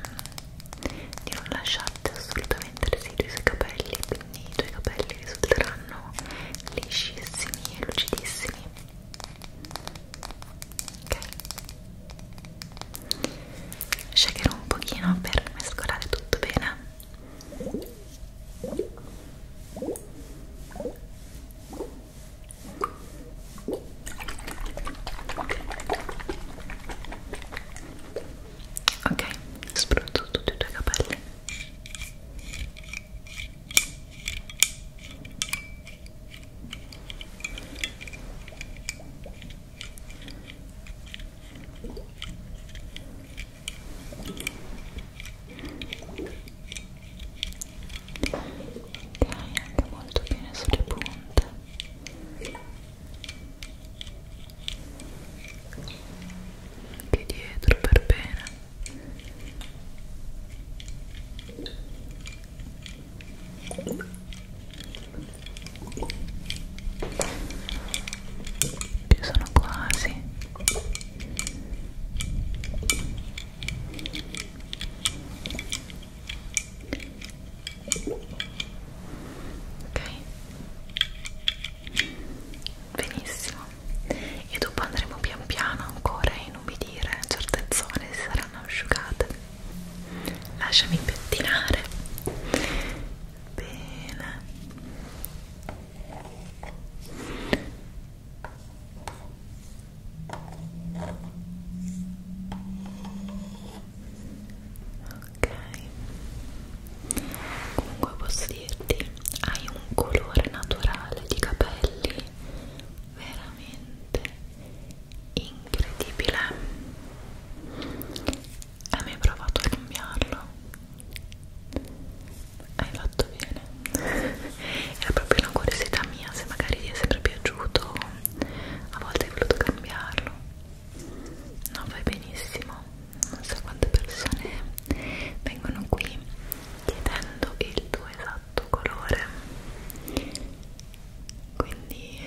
Speaker 1: di non lasciarti assolutamente completamente residui sui capelli quindi i tuoi capelli risulteranno liscissimi e lucidissimi ok shakerò un pochino per mescolare tutto bene ok ok spruzzo tutti i tuoi capelli ok, anche molto bene sulle punte anche dietro per bene che sono quasi ok benissimo e dopo andremo pian piano ancora a inumidire certe zone si saranno asciugate lasciami pettinare bene ok comunque posso dirti hai un colore naturale di capelli veramente incredibile hai mai provato a cambiarlo? hai fatto bene <laughs> era proprio una curiosità mia se magari ti è sempre piaciuto a volte hai voluto cambiarlo No, vai benissimo. Non so quante persone vengono qui chiedendo il tuo esatto colore. Quindi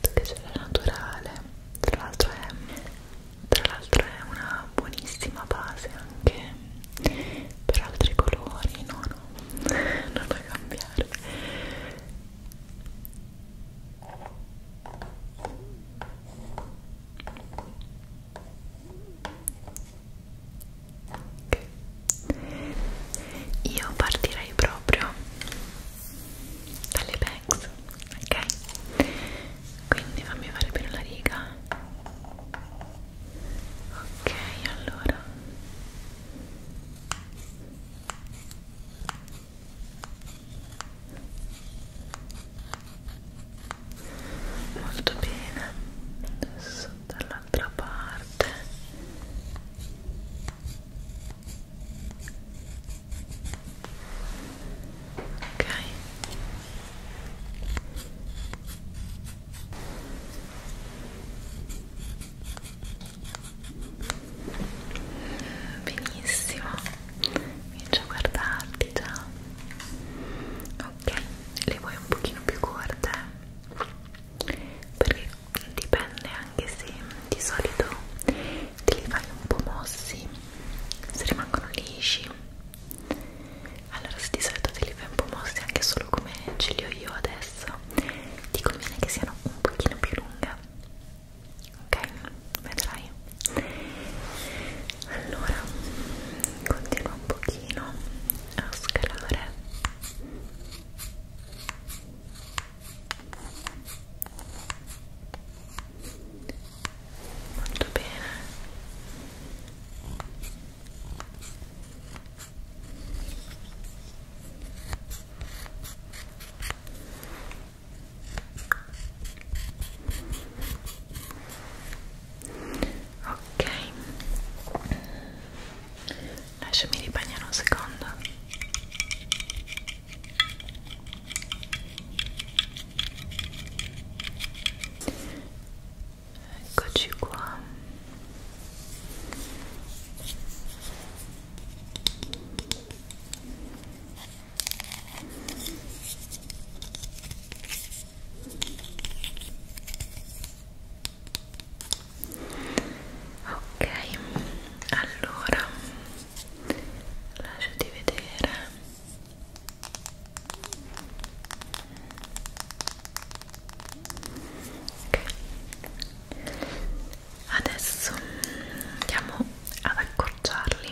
Speaker 1: tu che c'è la naturale, tra l'altro è, è una buonissima base anche per altri colori, no no, <laughs> non da cambiare io partirei proprio dalle banks, ok? Quindi fammi fare bene la riga. Ok, allora molto bene adesso dall'altra parte ok benissimo comincio a guardarti già ok le vuoi un pochino più corte perché dipende anche se di solito te li fai un po' mossi se rimangono lisci allora se di solito te li fai un po' mossi anche solo come ce li ho io adesso ti conviene che siano un pochino più lunghe ok? Vedrai. Allora, continua un pochino a scalare. Molto bene ok lasciami ribagnare un secondo eccoci qua ok allora lasciati vedere okay. adesso andiamo ad accorciarli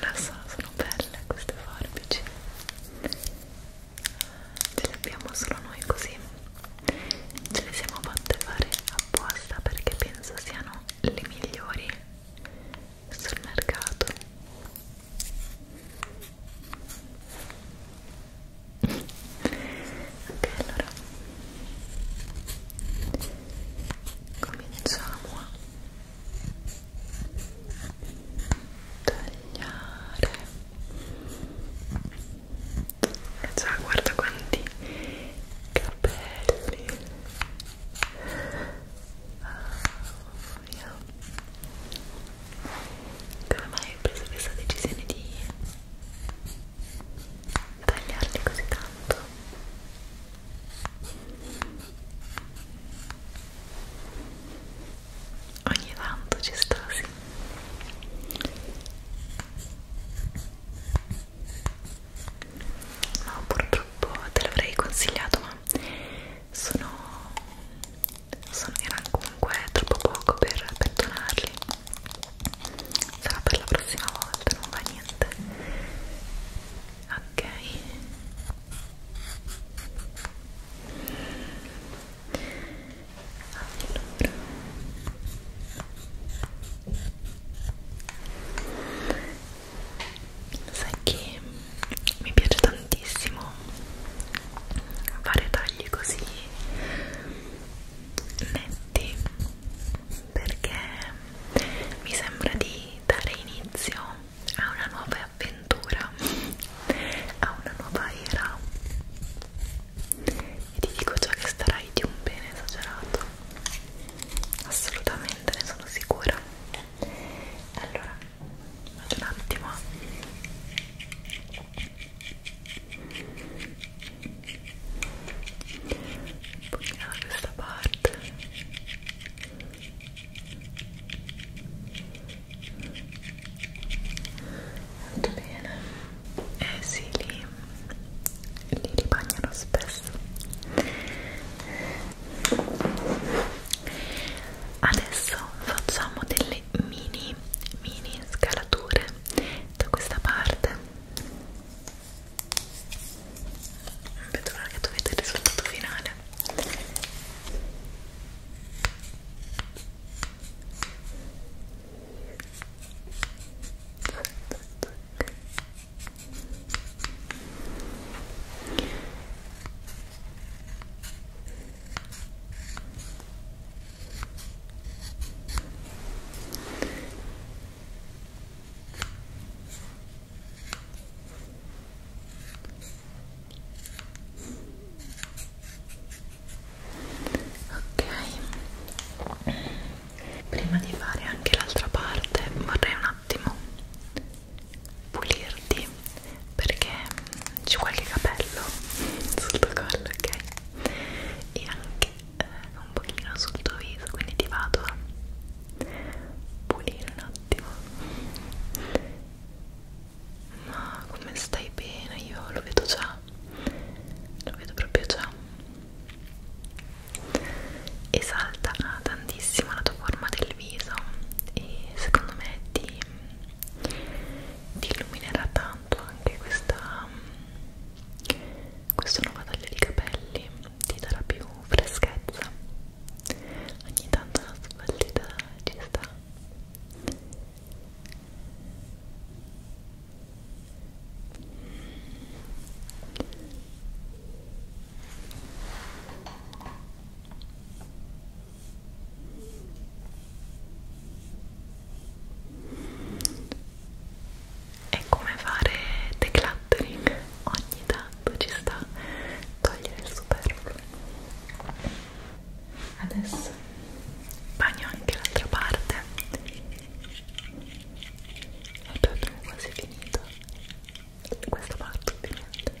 Speaker 1: lo so, sono belle queste forbici ce le abbiamo solo noi così ce le siamo fatte fare apposta perché penso siano le migliori sul mercato ok allora cominciamo a tagliare già ah, guarda quanti capelli oh, ah, mia. come mai hai preso questa decisione di tagliarli così tanto ogni tanto ci sta sì no purtroppo te l'avrei consigliato ma sono sono erano comunque è troppo poco per pettonarli sarà per la prossima volta non va niente ok allora sai che mi piace tantissimo fare tagli così netti perché mi sembra di dare inizio a una nuova avventura, a una nuova era e ti dico già che starai di un bene esagerato assolutamente ne sono sicura allora vado un attimo poi da questa parte molto bene eh sì lì li ribagnano spesso adesso facciamo delle mini mini scalature da questa parte non vedo l'ora che tu veda il risultato finale ok prima di fare anche l'altra parte vorrei un attimo pulirti perché c'è qualche capello sul tuo collo ok e anche eh, un pochino sul tuo viso quindi ti vado a pulire un attimo ma come stai bene io lo vedo già lo vedo proprio già esalta ah, tantissimo la tua forma del viso e secondo me ti, ti illuminerà tanto anche questa questo nuovo taglio di capelli ti darà più freschezza ogni tanto una sbagliata ci sta è come fare decluttering ogni tanto ci sta togliere il superfluo adesso bagno anche l'altra parte e poi abbiamo quasi finito questa parte ovviamente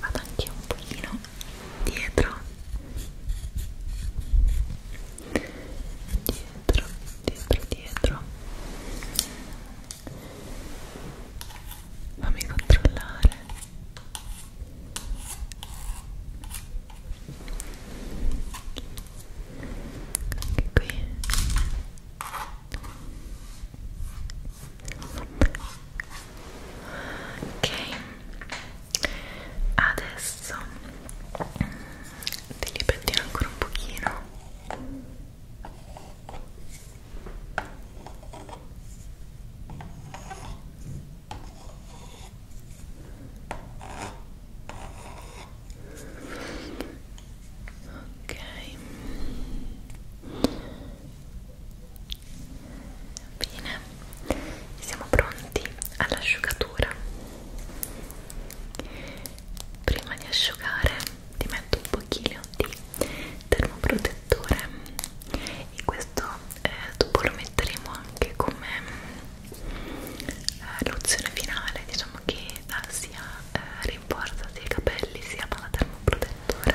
Speaker 1: vado anche un pochino dietro dietro dietro dietro fammi controllare anche qui ok adesso ti ripetiamo ancora un pochino ok Bene, siamo pronti all'asciugatura. Prima di asciugare ti metto un pochino di termoprotettore e questo eh, dopo lo metteremo anche come eh, lozione finale, diciamo che eh, sia eh, rinforza sia i capelli sia dalla termoprotettore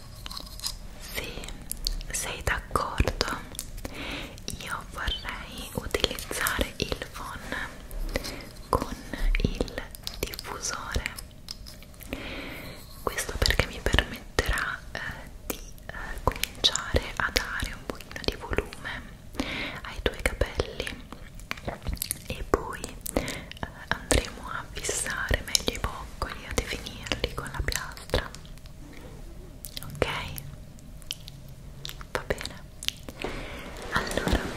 Speaker 1: se sei d'accordo io vorrei utilizzare il phon con il diffusore questo perché mi permetterà eh, di eh, cominciare a dare un pochino di volume ai tuoi capelli e poi eh, andremo a fissare meglio i boccoli a definirli con la piastra ok? va bene allora ok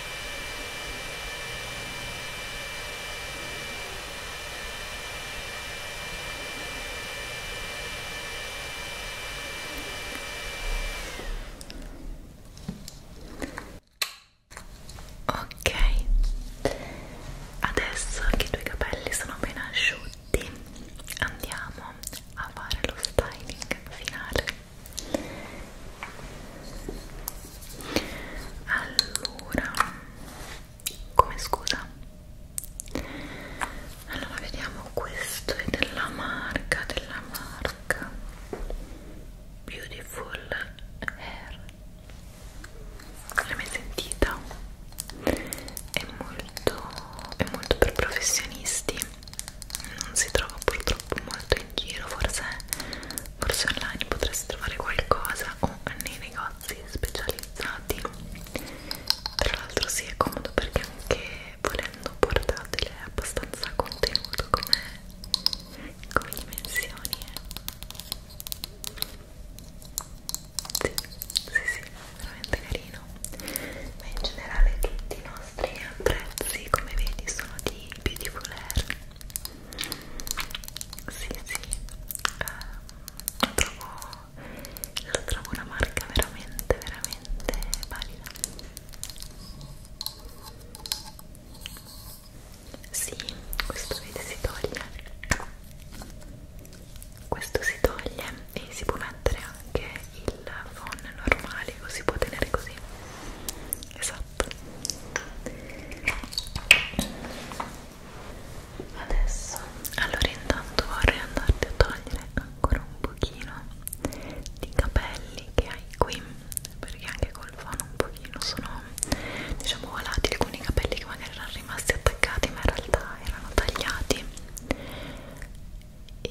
Speaker 1: Ok, adesso che i tuoi capelli sono ben asciutti, andiamo a fare lo styling finale allora come scusa allora vediamo questo è della marca della marca beautiful hair l'hai mai sentita è molto è molto per professionisti non si trova purtroppo molto in giro forse, forse online potresti trovare qualcosa o nei negozi specializzati tra l'altro si sì, è comodo perché anche volendo portatile è abbastanza contenuto come, come dimensioni eh. sì, sì, sì, veramente carino ma in generale tutti no? nostri prezzi come vedi sono di Beautiful Air sì sì eh, lo, trovo, lo trovo una marca veramente veramente valida sì questo vedi si toglie questo si toglie e si può mettere anche il phone normale lo si può tenere così esatto up adesso allora intanto vorrei andarti a togliere ancora un pochino di capelli che hai qui perché anche col fano un pochino sono diciamo volatili con i capelli che magari erano rimasti attaccati ma in realtà erano tagliati e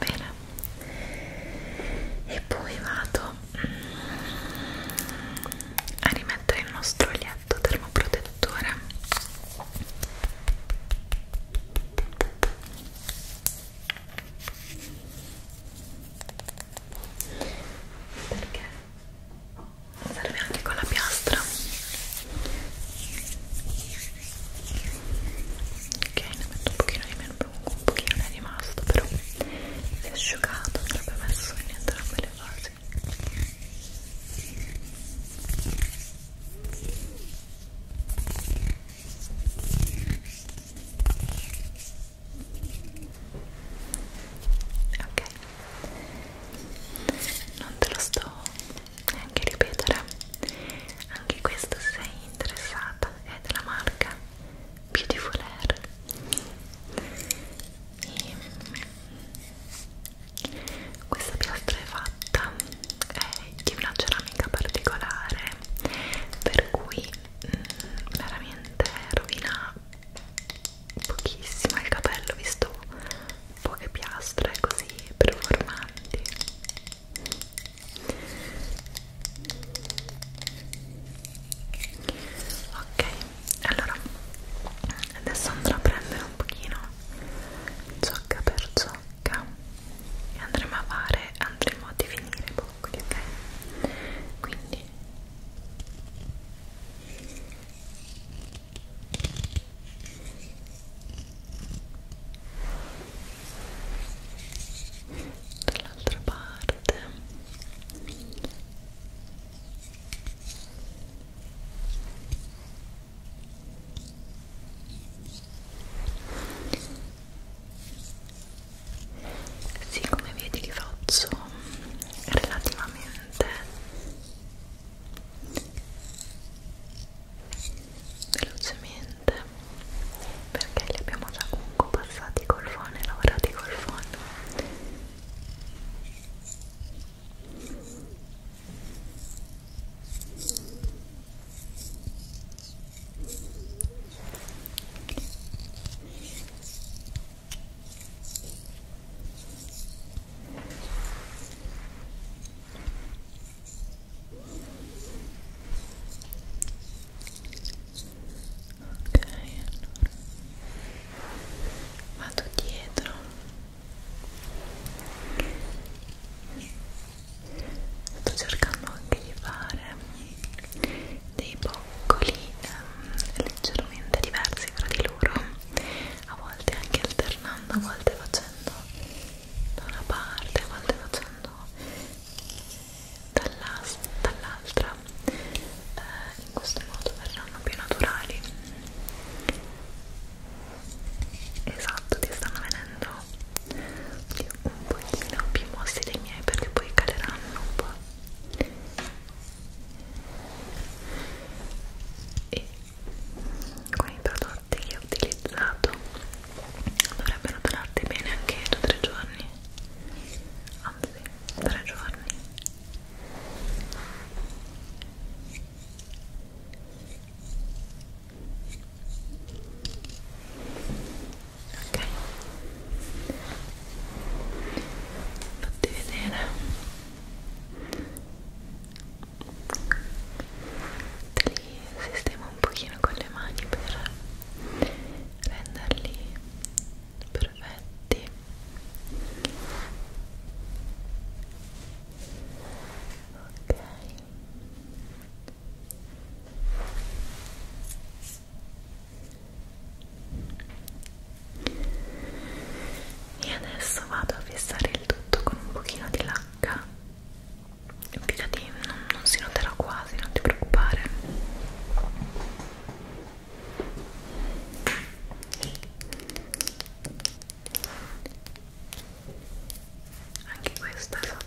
Speaker 1: bene e poi vado mm, a rimettere il nostro lietto termoprotettore perché serve anche con la piastra ok ne metto un pochino di meno un pochino ne è rimasto però si è asciugato l'ho messo in entrambe le fasi ok non te lo sto neanche ripetere anche questo sei interessata è della marca Beautiful Air e questa piastra è fatta è di una ceramica particolare per cui mh, mm, veramente rovina pochissimo il capello visto poche piastre così performanti ok allora adesso andrò a prendere un pochino ciocca per ciocca e andremo a fare andremo a definire i boccoli ok quindi ok dall'altra parte sì, come vedi li faccio relativamente velocemente perché li abbiamo già comunque passati col phon e lavorati col phon Ok, allora vado dietro sto cercando anche di fare dei boccoli ehm, leggermente diversi fra di loro a volte anche alternando, a volte facendo da una parte, a volte facendo dall'altra eh, in questo modo verranno più naturali esatto, ti stanno venendo un pochino più mossi dei miei perché poi caleranno un po' e con i prodotti latte che ho utilizzato dovrebbero durarti bene anche 2-3 giorni anzi 3 giorni ok fatti vedere te li li sistemo un pochino con le mani per renderli perfetti ok e adesso vado a fissare il tutto con un pochino di lacca Pigliati, non, non si noterà quasi, non ti preoccupare. Anche questo è fatto.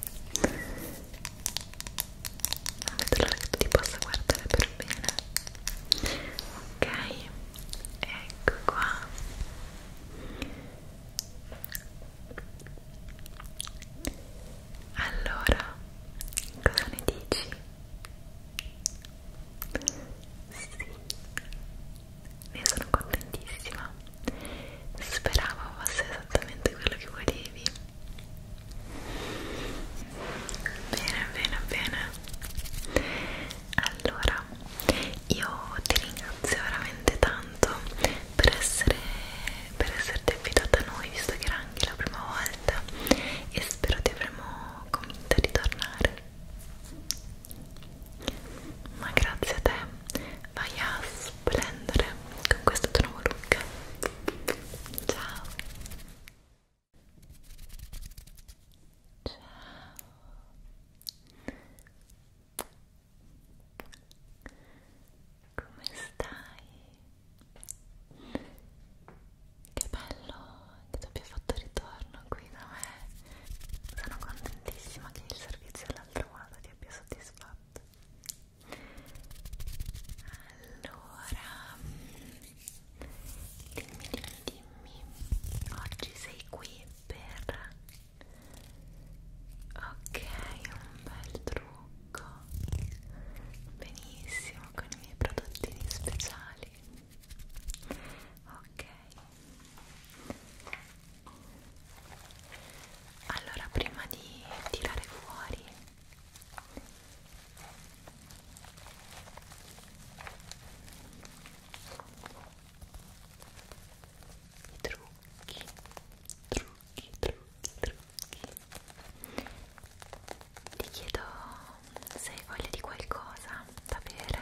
Speaker 1: non vedo l'ora che tu ti possa guardare per bene ok ecco qua allora cosa ne dici? sì ne sono contentissima Speravo fosse esattamente quello che volevi. Bene, bene, bene. Allora, io ti ringrazio veramente tanto per essere per esserti affidata a noi, visto che era anche la prima volta e spero ti avremo convinta di tornare. Ma grazie a te vai a splendere con questo tuo nuovo look ciao ciao come stai? che bello che tu abbia fatto ritorno qui da me sono contentissima che il servizio dell'altra volta ti abbia soddisfatto allora, dimmi, dimmi, dimmi, oggi sei qui per... Ok, un bel trucco. Benissimo, con i miei prodottini speciali. Ok allora prima di tirare fuori i trucchi trucchi trucchi trucchi ti chiedo se hai voglia di qualcosa da bere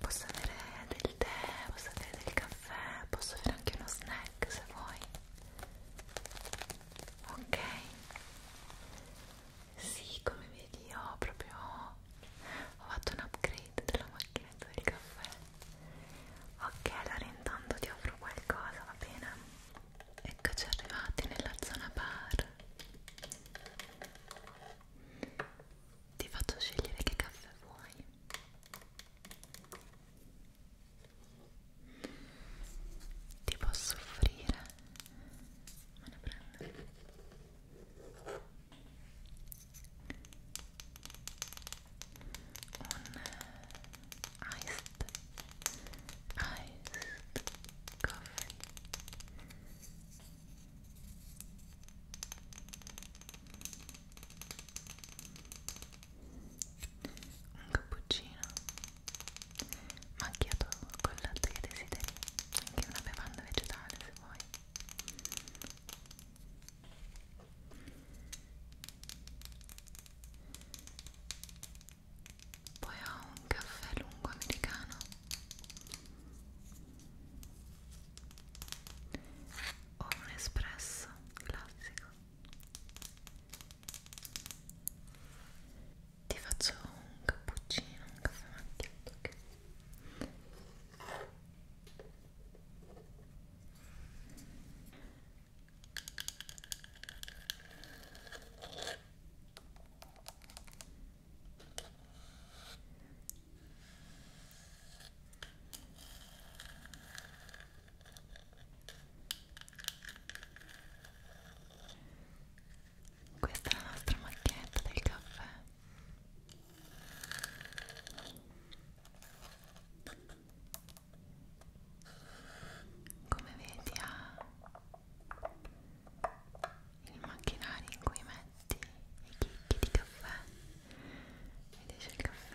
Speaker 1: posso avere del tè posso avere del caffè, posso avere anche uno snack se vuoi. Ok. Sì, come vedi ho proprio ho fatto un upgrade della macchinetta del caffè. Ok, allora intanto ti offro qualcosa, va bene? Eccoci arrivati nella zona bar. Ti faccio scegliere che caffè vuoi. Ti posso offrire? Me ne prendo. Un iced, iced coffee un cappuccino macchiato con latte che desideri anche una bevanda vegetale se vuoi poi ho un caffè lungo americano o un espresso classico ti faccio un cappuccino, un caffè macchiato che... Questa è la nostra macchinetta del caffè. Come vedi ha il macchinario in cui metti i chicchi di caffè ed esce il caffè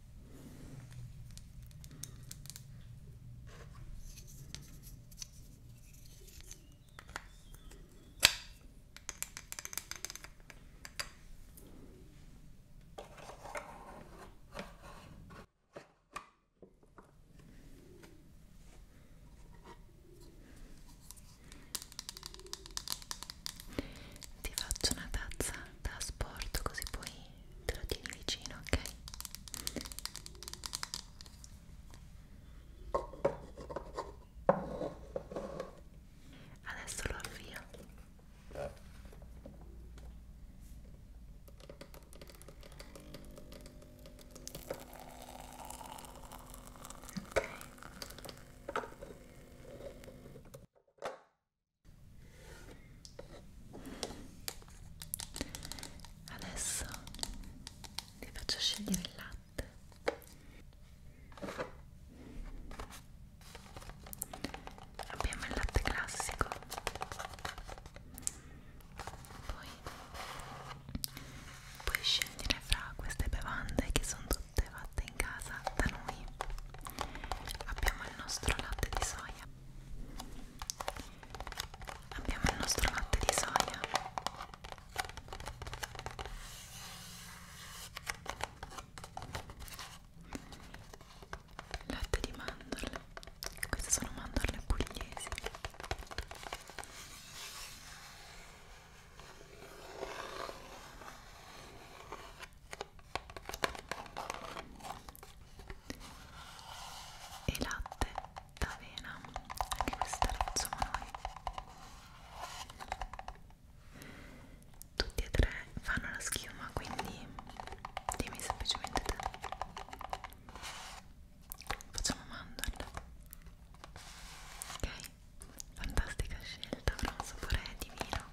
Speaker 1: Ti faccio una tazza da sport così puoi te lo tieni vicino, ok? Adesso lo avvio. Ok. Adesso vi faccio scegliere il latte. Abbiamo il latte classico, poi puoi scegliere fra queste bevande che sono tutte fatte in casa da noi. Abbiamo il nostro latte di soia abbiamo il nostro latte di soia latte di mandorle queste sono mandorle pugliesi e latte d'avena anche questa insomma noi tutti e tre fanno la schiuma quindi dimmi semplicemente te facciamo mandorle ok fantastica scelta però un sapore divino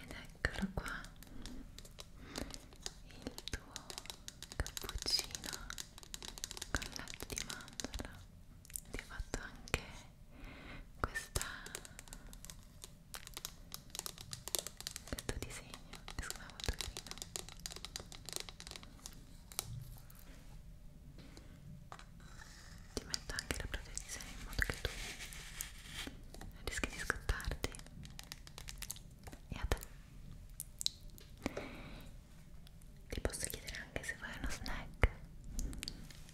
Speaker 1: ed eccolo qua il tuo cappuccino con latte di mandorla ti ho fatto anche questa questo disegno che secondo me è molto carino ti metto anche la protezione in modo che tu rischi di scottarti e a te ti posso chiedere anche se vuoi uno snack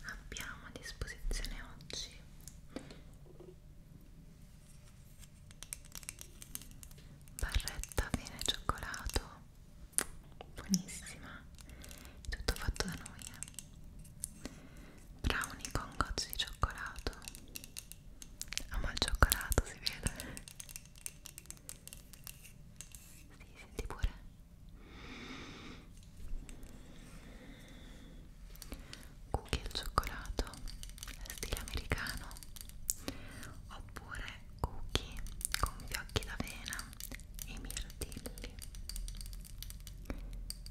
Speaker 1: abbiamo a disposizione oggi barretta vino e cioccolato buonissima tutto fatto da noi eh brownie con gocce di cioccolato ama il cioccolato si vede si senti pure cookie al cioccolato stile americano oppure cookie con fiocchi d'avena e mirtilli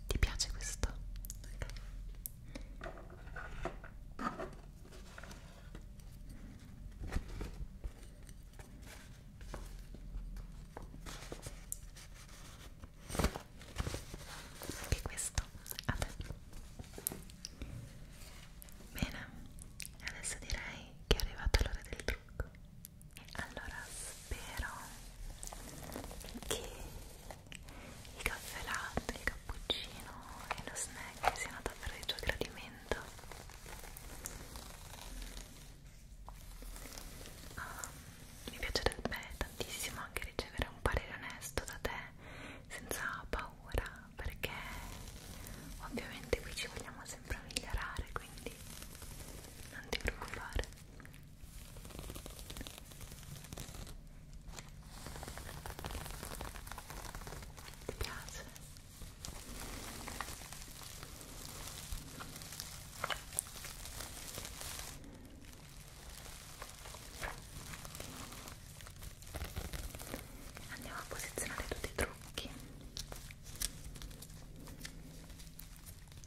Speaker 1: ti piace questo? Okay. Anche questo a te. Bene, adesso direi che è arrivato l'ora del trucco. Allora spero che il caffè latte, il cappuccino e lo snack siano davvero di tuo gradimento. Uh, mi piacerebbe tantissimo anche ricevere un parere onesto da te senza paura perché ovviamente qui ci vogliamo sempre migliorare quindi non ti preoccupare ti piace? Andiamo a posizionare tutti i trucchi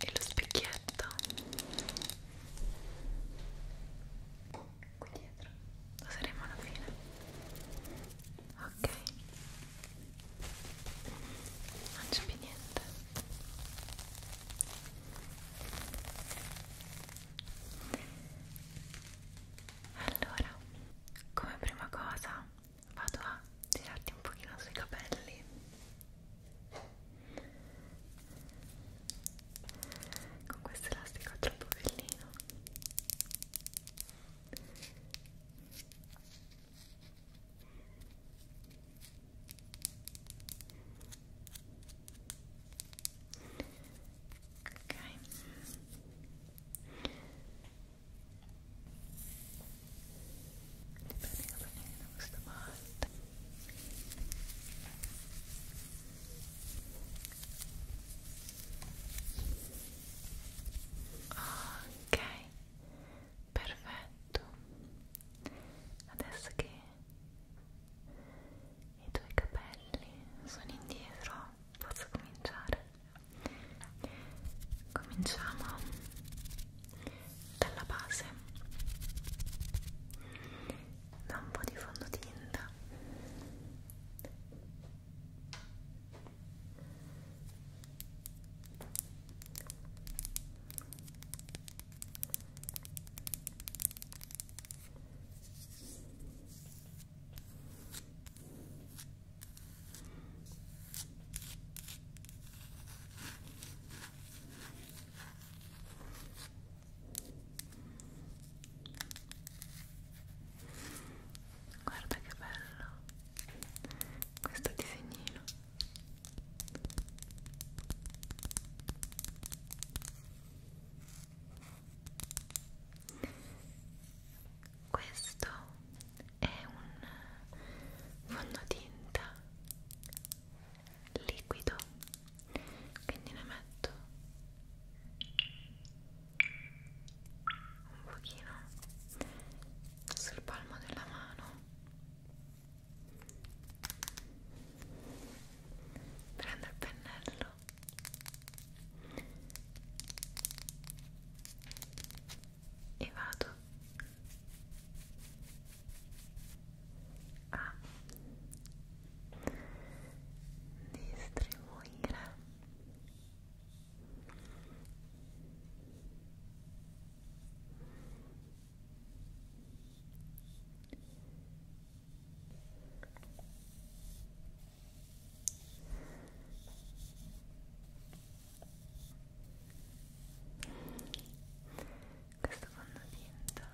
Speaker 1: e lo specchietto qui dietro lo saremo alla fine ok non c'è più niente allora, come prima cosa vado a tirarti un pochino sui capelli. Con questo elastico troppo bellino. Ecco ok prendiamo bene da questa parte ok perfetto adesso che i tuoi capelli sono indietro posso cominciare cominciamo dalla base da un po' di fondotinta Guarda che bello questo disegnino questo è un fondotinta liquido quindi ne metto un pochino sul palmo della mano prendo il pennello e vado a distribuire questo fondotinta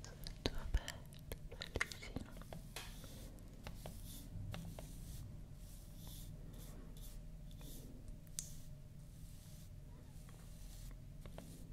Speaker 1: sul tuo bello, bellissimo Ecco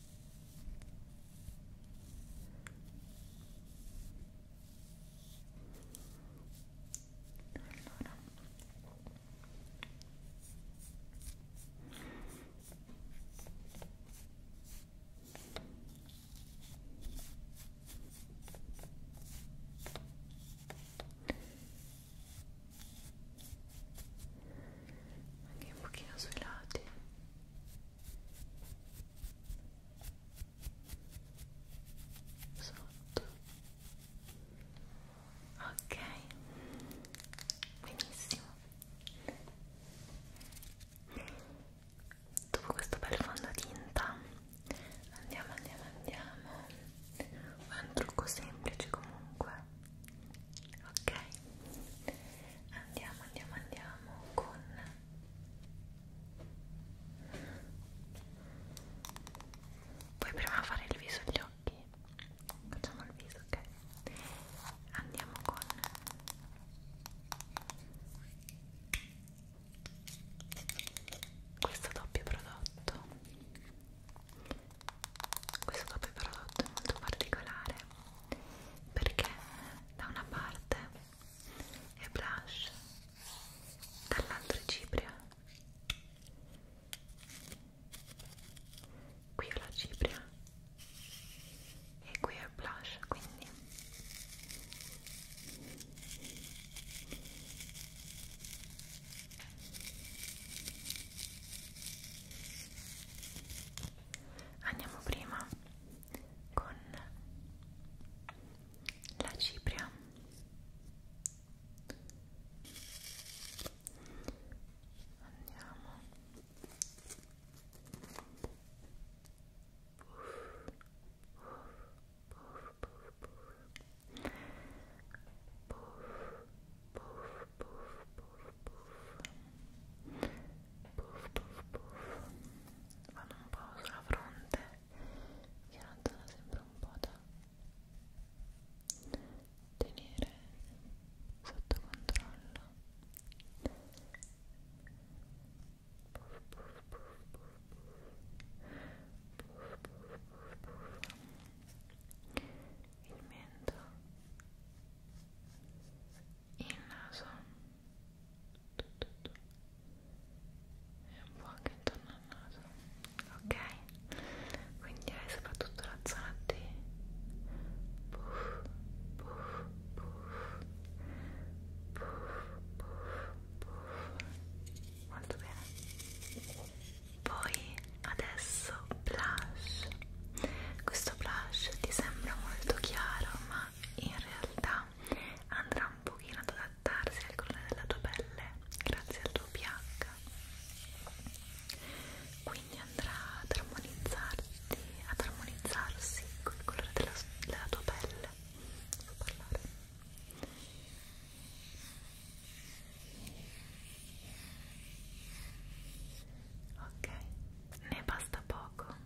Speaker 1: Allora. anche un pochino sui lati sotto ok benissimo dopo questo bel fondotinta andiamo andiamo andiamo è un trucco semplice comunque ok andiamo andiamo andiamo con puoi prima fare il viso e gli occhi facciamo il viso ok andiamo con questo doppio prodotto questo doppio prodotto è molto particolare perché da una parte è blush dall'altra è cipria qui ho la cipria e qui è il blush quindi andiamo prima con la cipria andiamo Puff, puff, puff, puff, puff puff puff puff vanno un po' sulla fronte che randola sempre un po' da tenere sotto controllo puff puff puff puff puff puff puff puff il mento il naso e un po' anche intorno al naso ok quindi hai soprattutto la zona di puff puff puff puff puff puff molto bene poi adesso blush questo blush ti sembra molto chiaro ma ma in realtà andrà un pochino ad adattarsi al colore della tua pelle grazie al tuo pH quindi andrà ad armonizzarti ad armonizzarsi col colore della, della tua pelle so parlare ok ne basta poco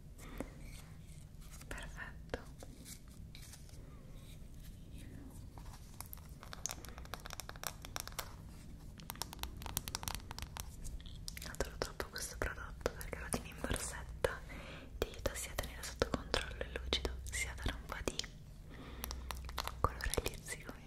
Speaker 1: perfetto adoro troppo questo prodotto perché lo tieni in borsetta ti aiuta sia a tenere sotto controllo il lucido sia a dare un po' di colore agli zigomi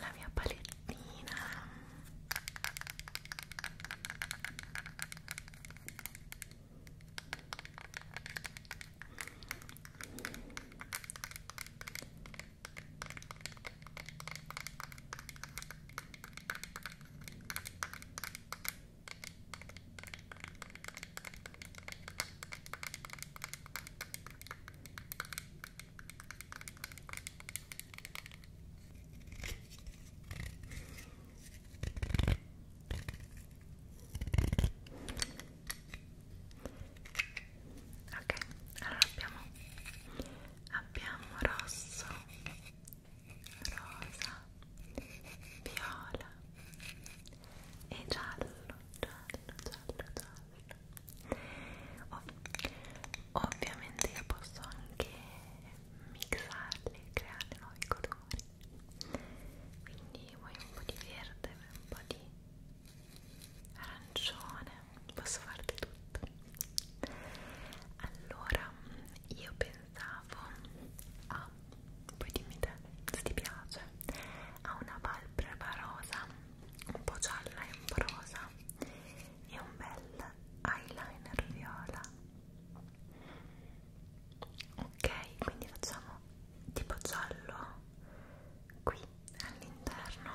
Speaker 1: la mia palettina Ok, allora abbiamo abbiamo rosso, rosa, viola e giallo, giallo, giallo, giallo oh, ovviamente io posso anche mixarli e creare nuovi colori quindi vuoi un po' di verde un po' di arancione posso farti tutto allora io pensavo a poi dimmi te se ti piace a una palpebra rosa un po' gialla e ombrosa e un bel eyeliner viola ok quindi facciamo tipo giallo qui all'interno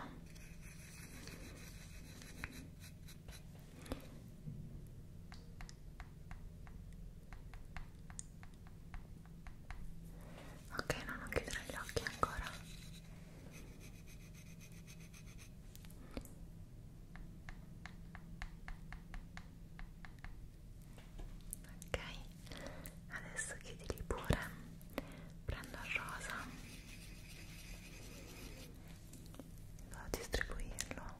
Speaker 1: ok no non chiudere gli occhi ancora Ok, adesso chiudili pure, prendo il rosa, vado a distribuirlo.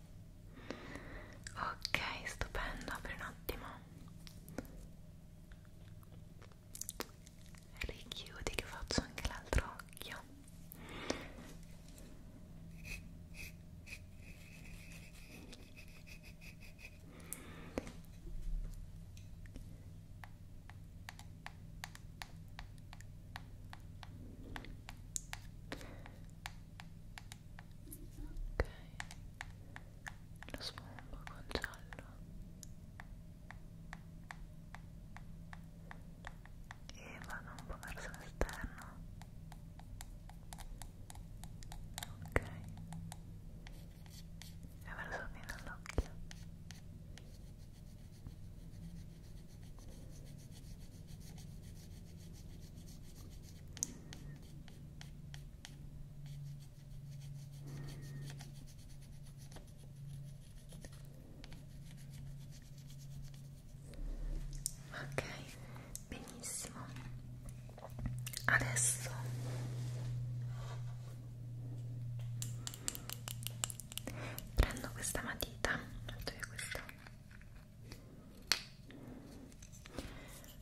Speaker 1: ok stupendo apri un attimo richiudi che faccio anche l'altro occhio ok lo sfumbo con giallo e vado un po' verso l'esterno ok e verso fino all'occhio ok Ok, benissimo. Adesso prendo questa matita, metto via questa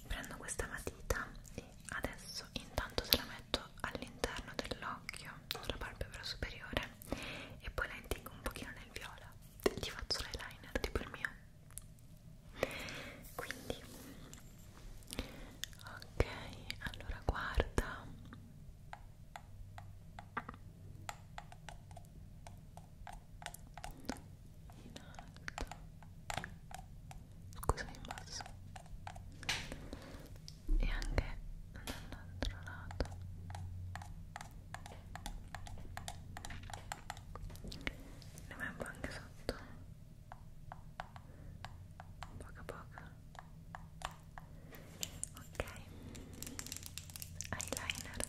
Speaker 1: prendo questa matita e adesso intanto se la metto all'interno dell'occhio sulla palpebra superiore e poi la indico un pochino nel viola e ti faccio l'eyeliner tipo il mio quindi ok allora guarda in alto scusa in basso e anche dall'altro lato ne metto anche sotto poco a poco ok eyeliner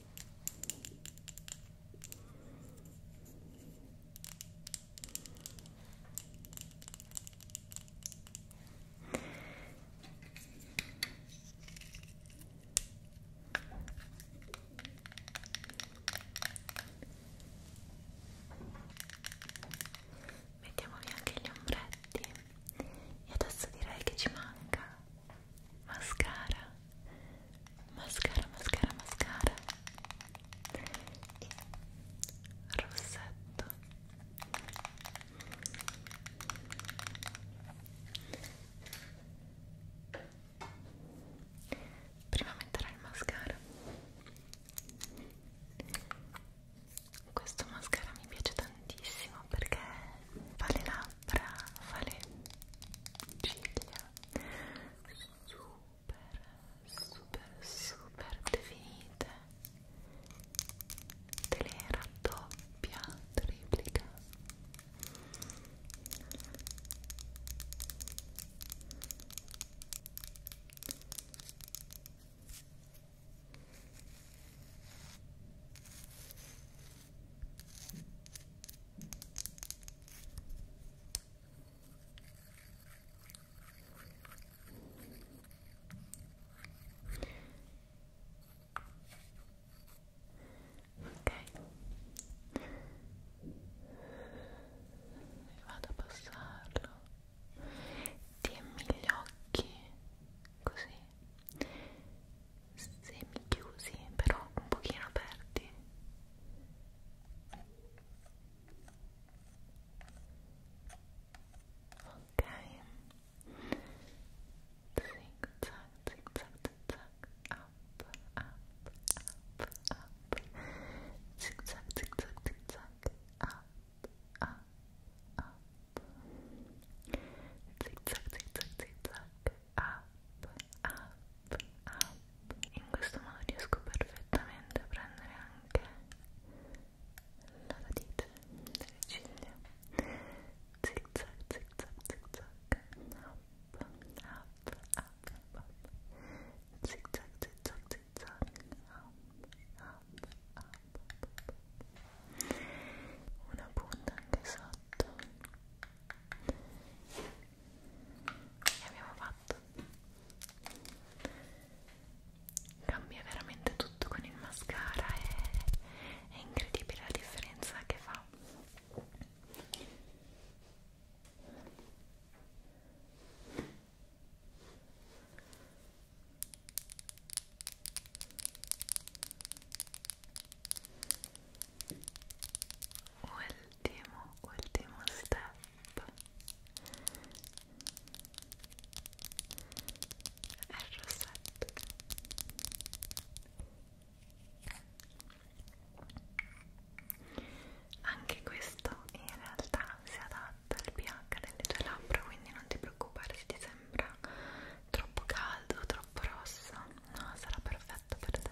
Speaker 1: Mettiamo via anche gli ombretti e adesso direi che ci manca mascara mascara mascara mascara rossetto prima metterò il mascara questo mascara mi piace tantissimo perché vale la labbra, fare ciglia super, super, super definite te le raddoppia, triplica vado a passarlo. Tienimi gli occhi così semi chiusi però un pochino aperti ok zig zag zig zag zig zag up up up up zig zag zig zag zig zag up up up zig zag zig zag zig zag up, up, up. In questo modo riesco perfettamente a prendere anche la radice delle ciglia. Zig zag, zig zag, zig zag. Up, up, up, up. Zig zag, zig zag, zig zag. Up, up, up, up. Una punta anche sotto. Up, e abbiamo fatto cambia veramente tutto con il mascara è, è incredibile la differenza che fa ultimo ultimo step è il rossetto anche questo in realtà si adatta al pH delle tue labbra quindi non ti preoccupare se ti sembra troppo caldo troppo rosso no sarà perfetto per te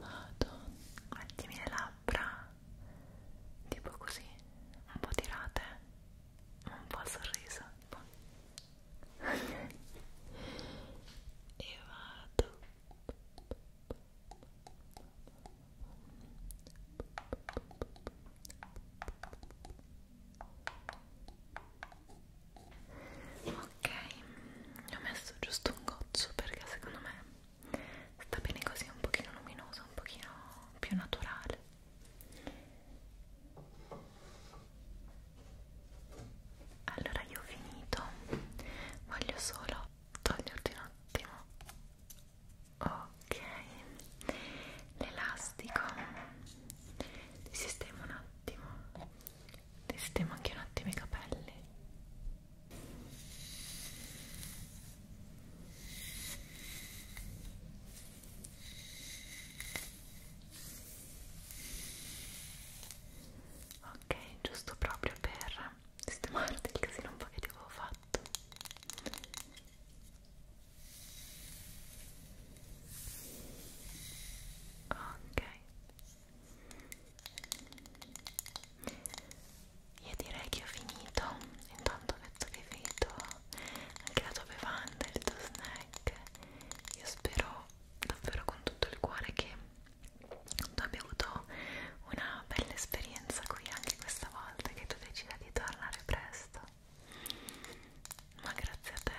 Speaker 1: vado mettimi le labbra tipo così un po' tirate un po' sorriso un po'. e vado e ok ho messo giusto un goccio perché secondo me sta bene così un pochino luminoso un pochino più naturale allora io ho finito voglio solo toglierti un attimo ok l'elastico ti sistemo un attimo ti sistemo anche un attimo i capelli ok giusto proprio per sistemarti il casino un po' che ti avevo fatto ok io direi che ho finito, intanto penso che vedo anche la tua bevanda, il tuo snack. Io spero davvero con tutto il cuore che tu abbia avuto una bella esperienza qui anche questa volta che tu decida di tornare presto. Ma grazie a te.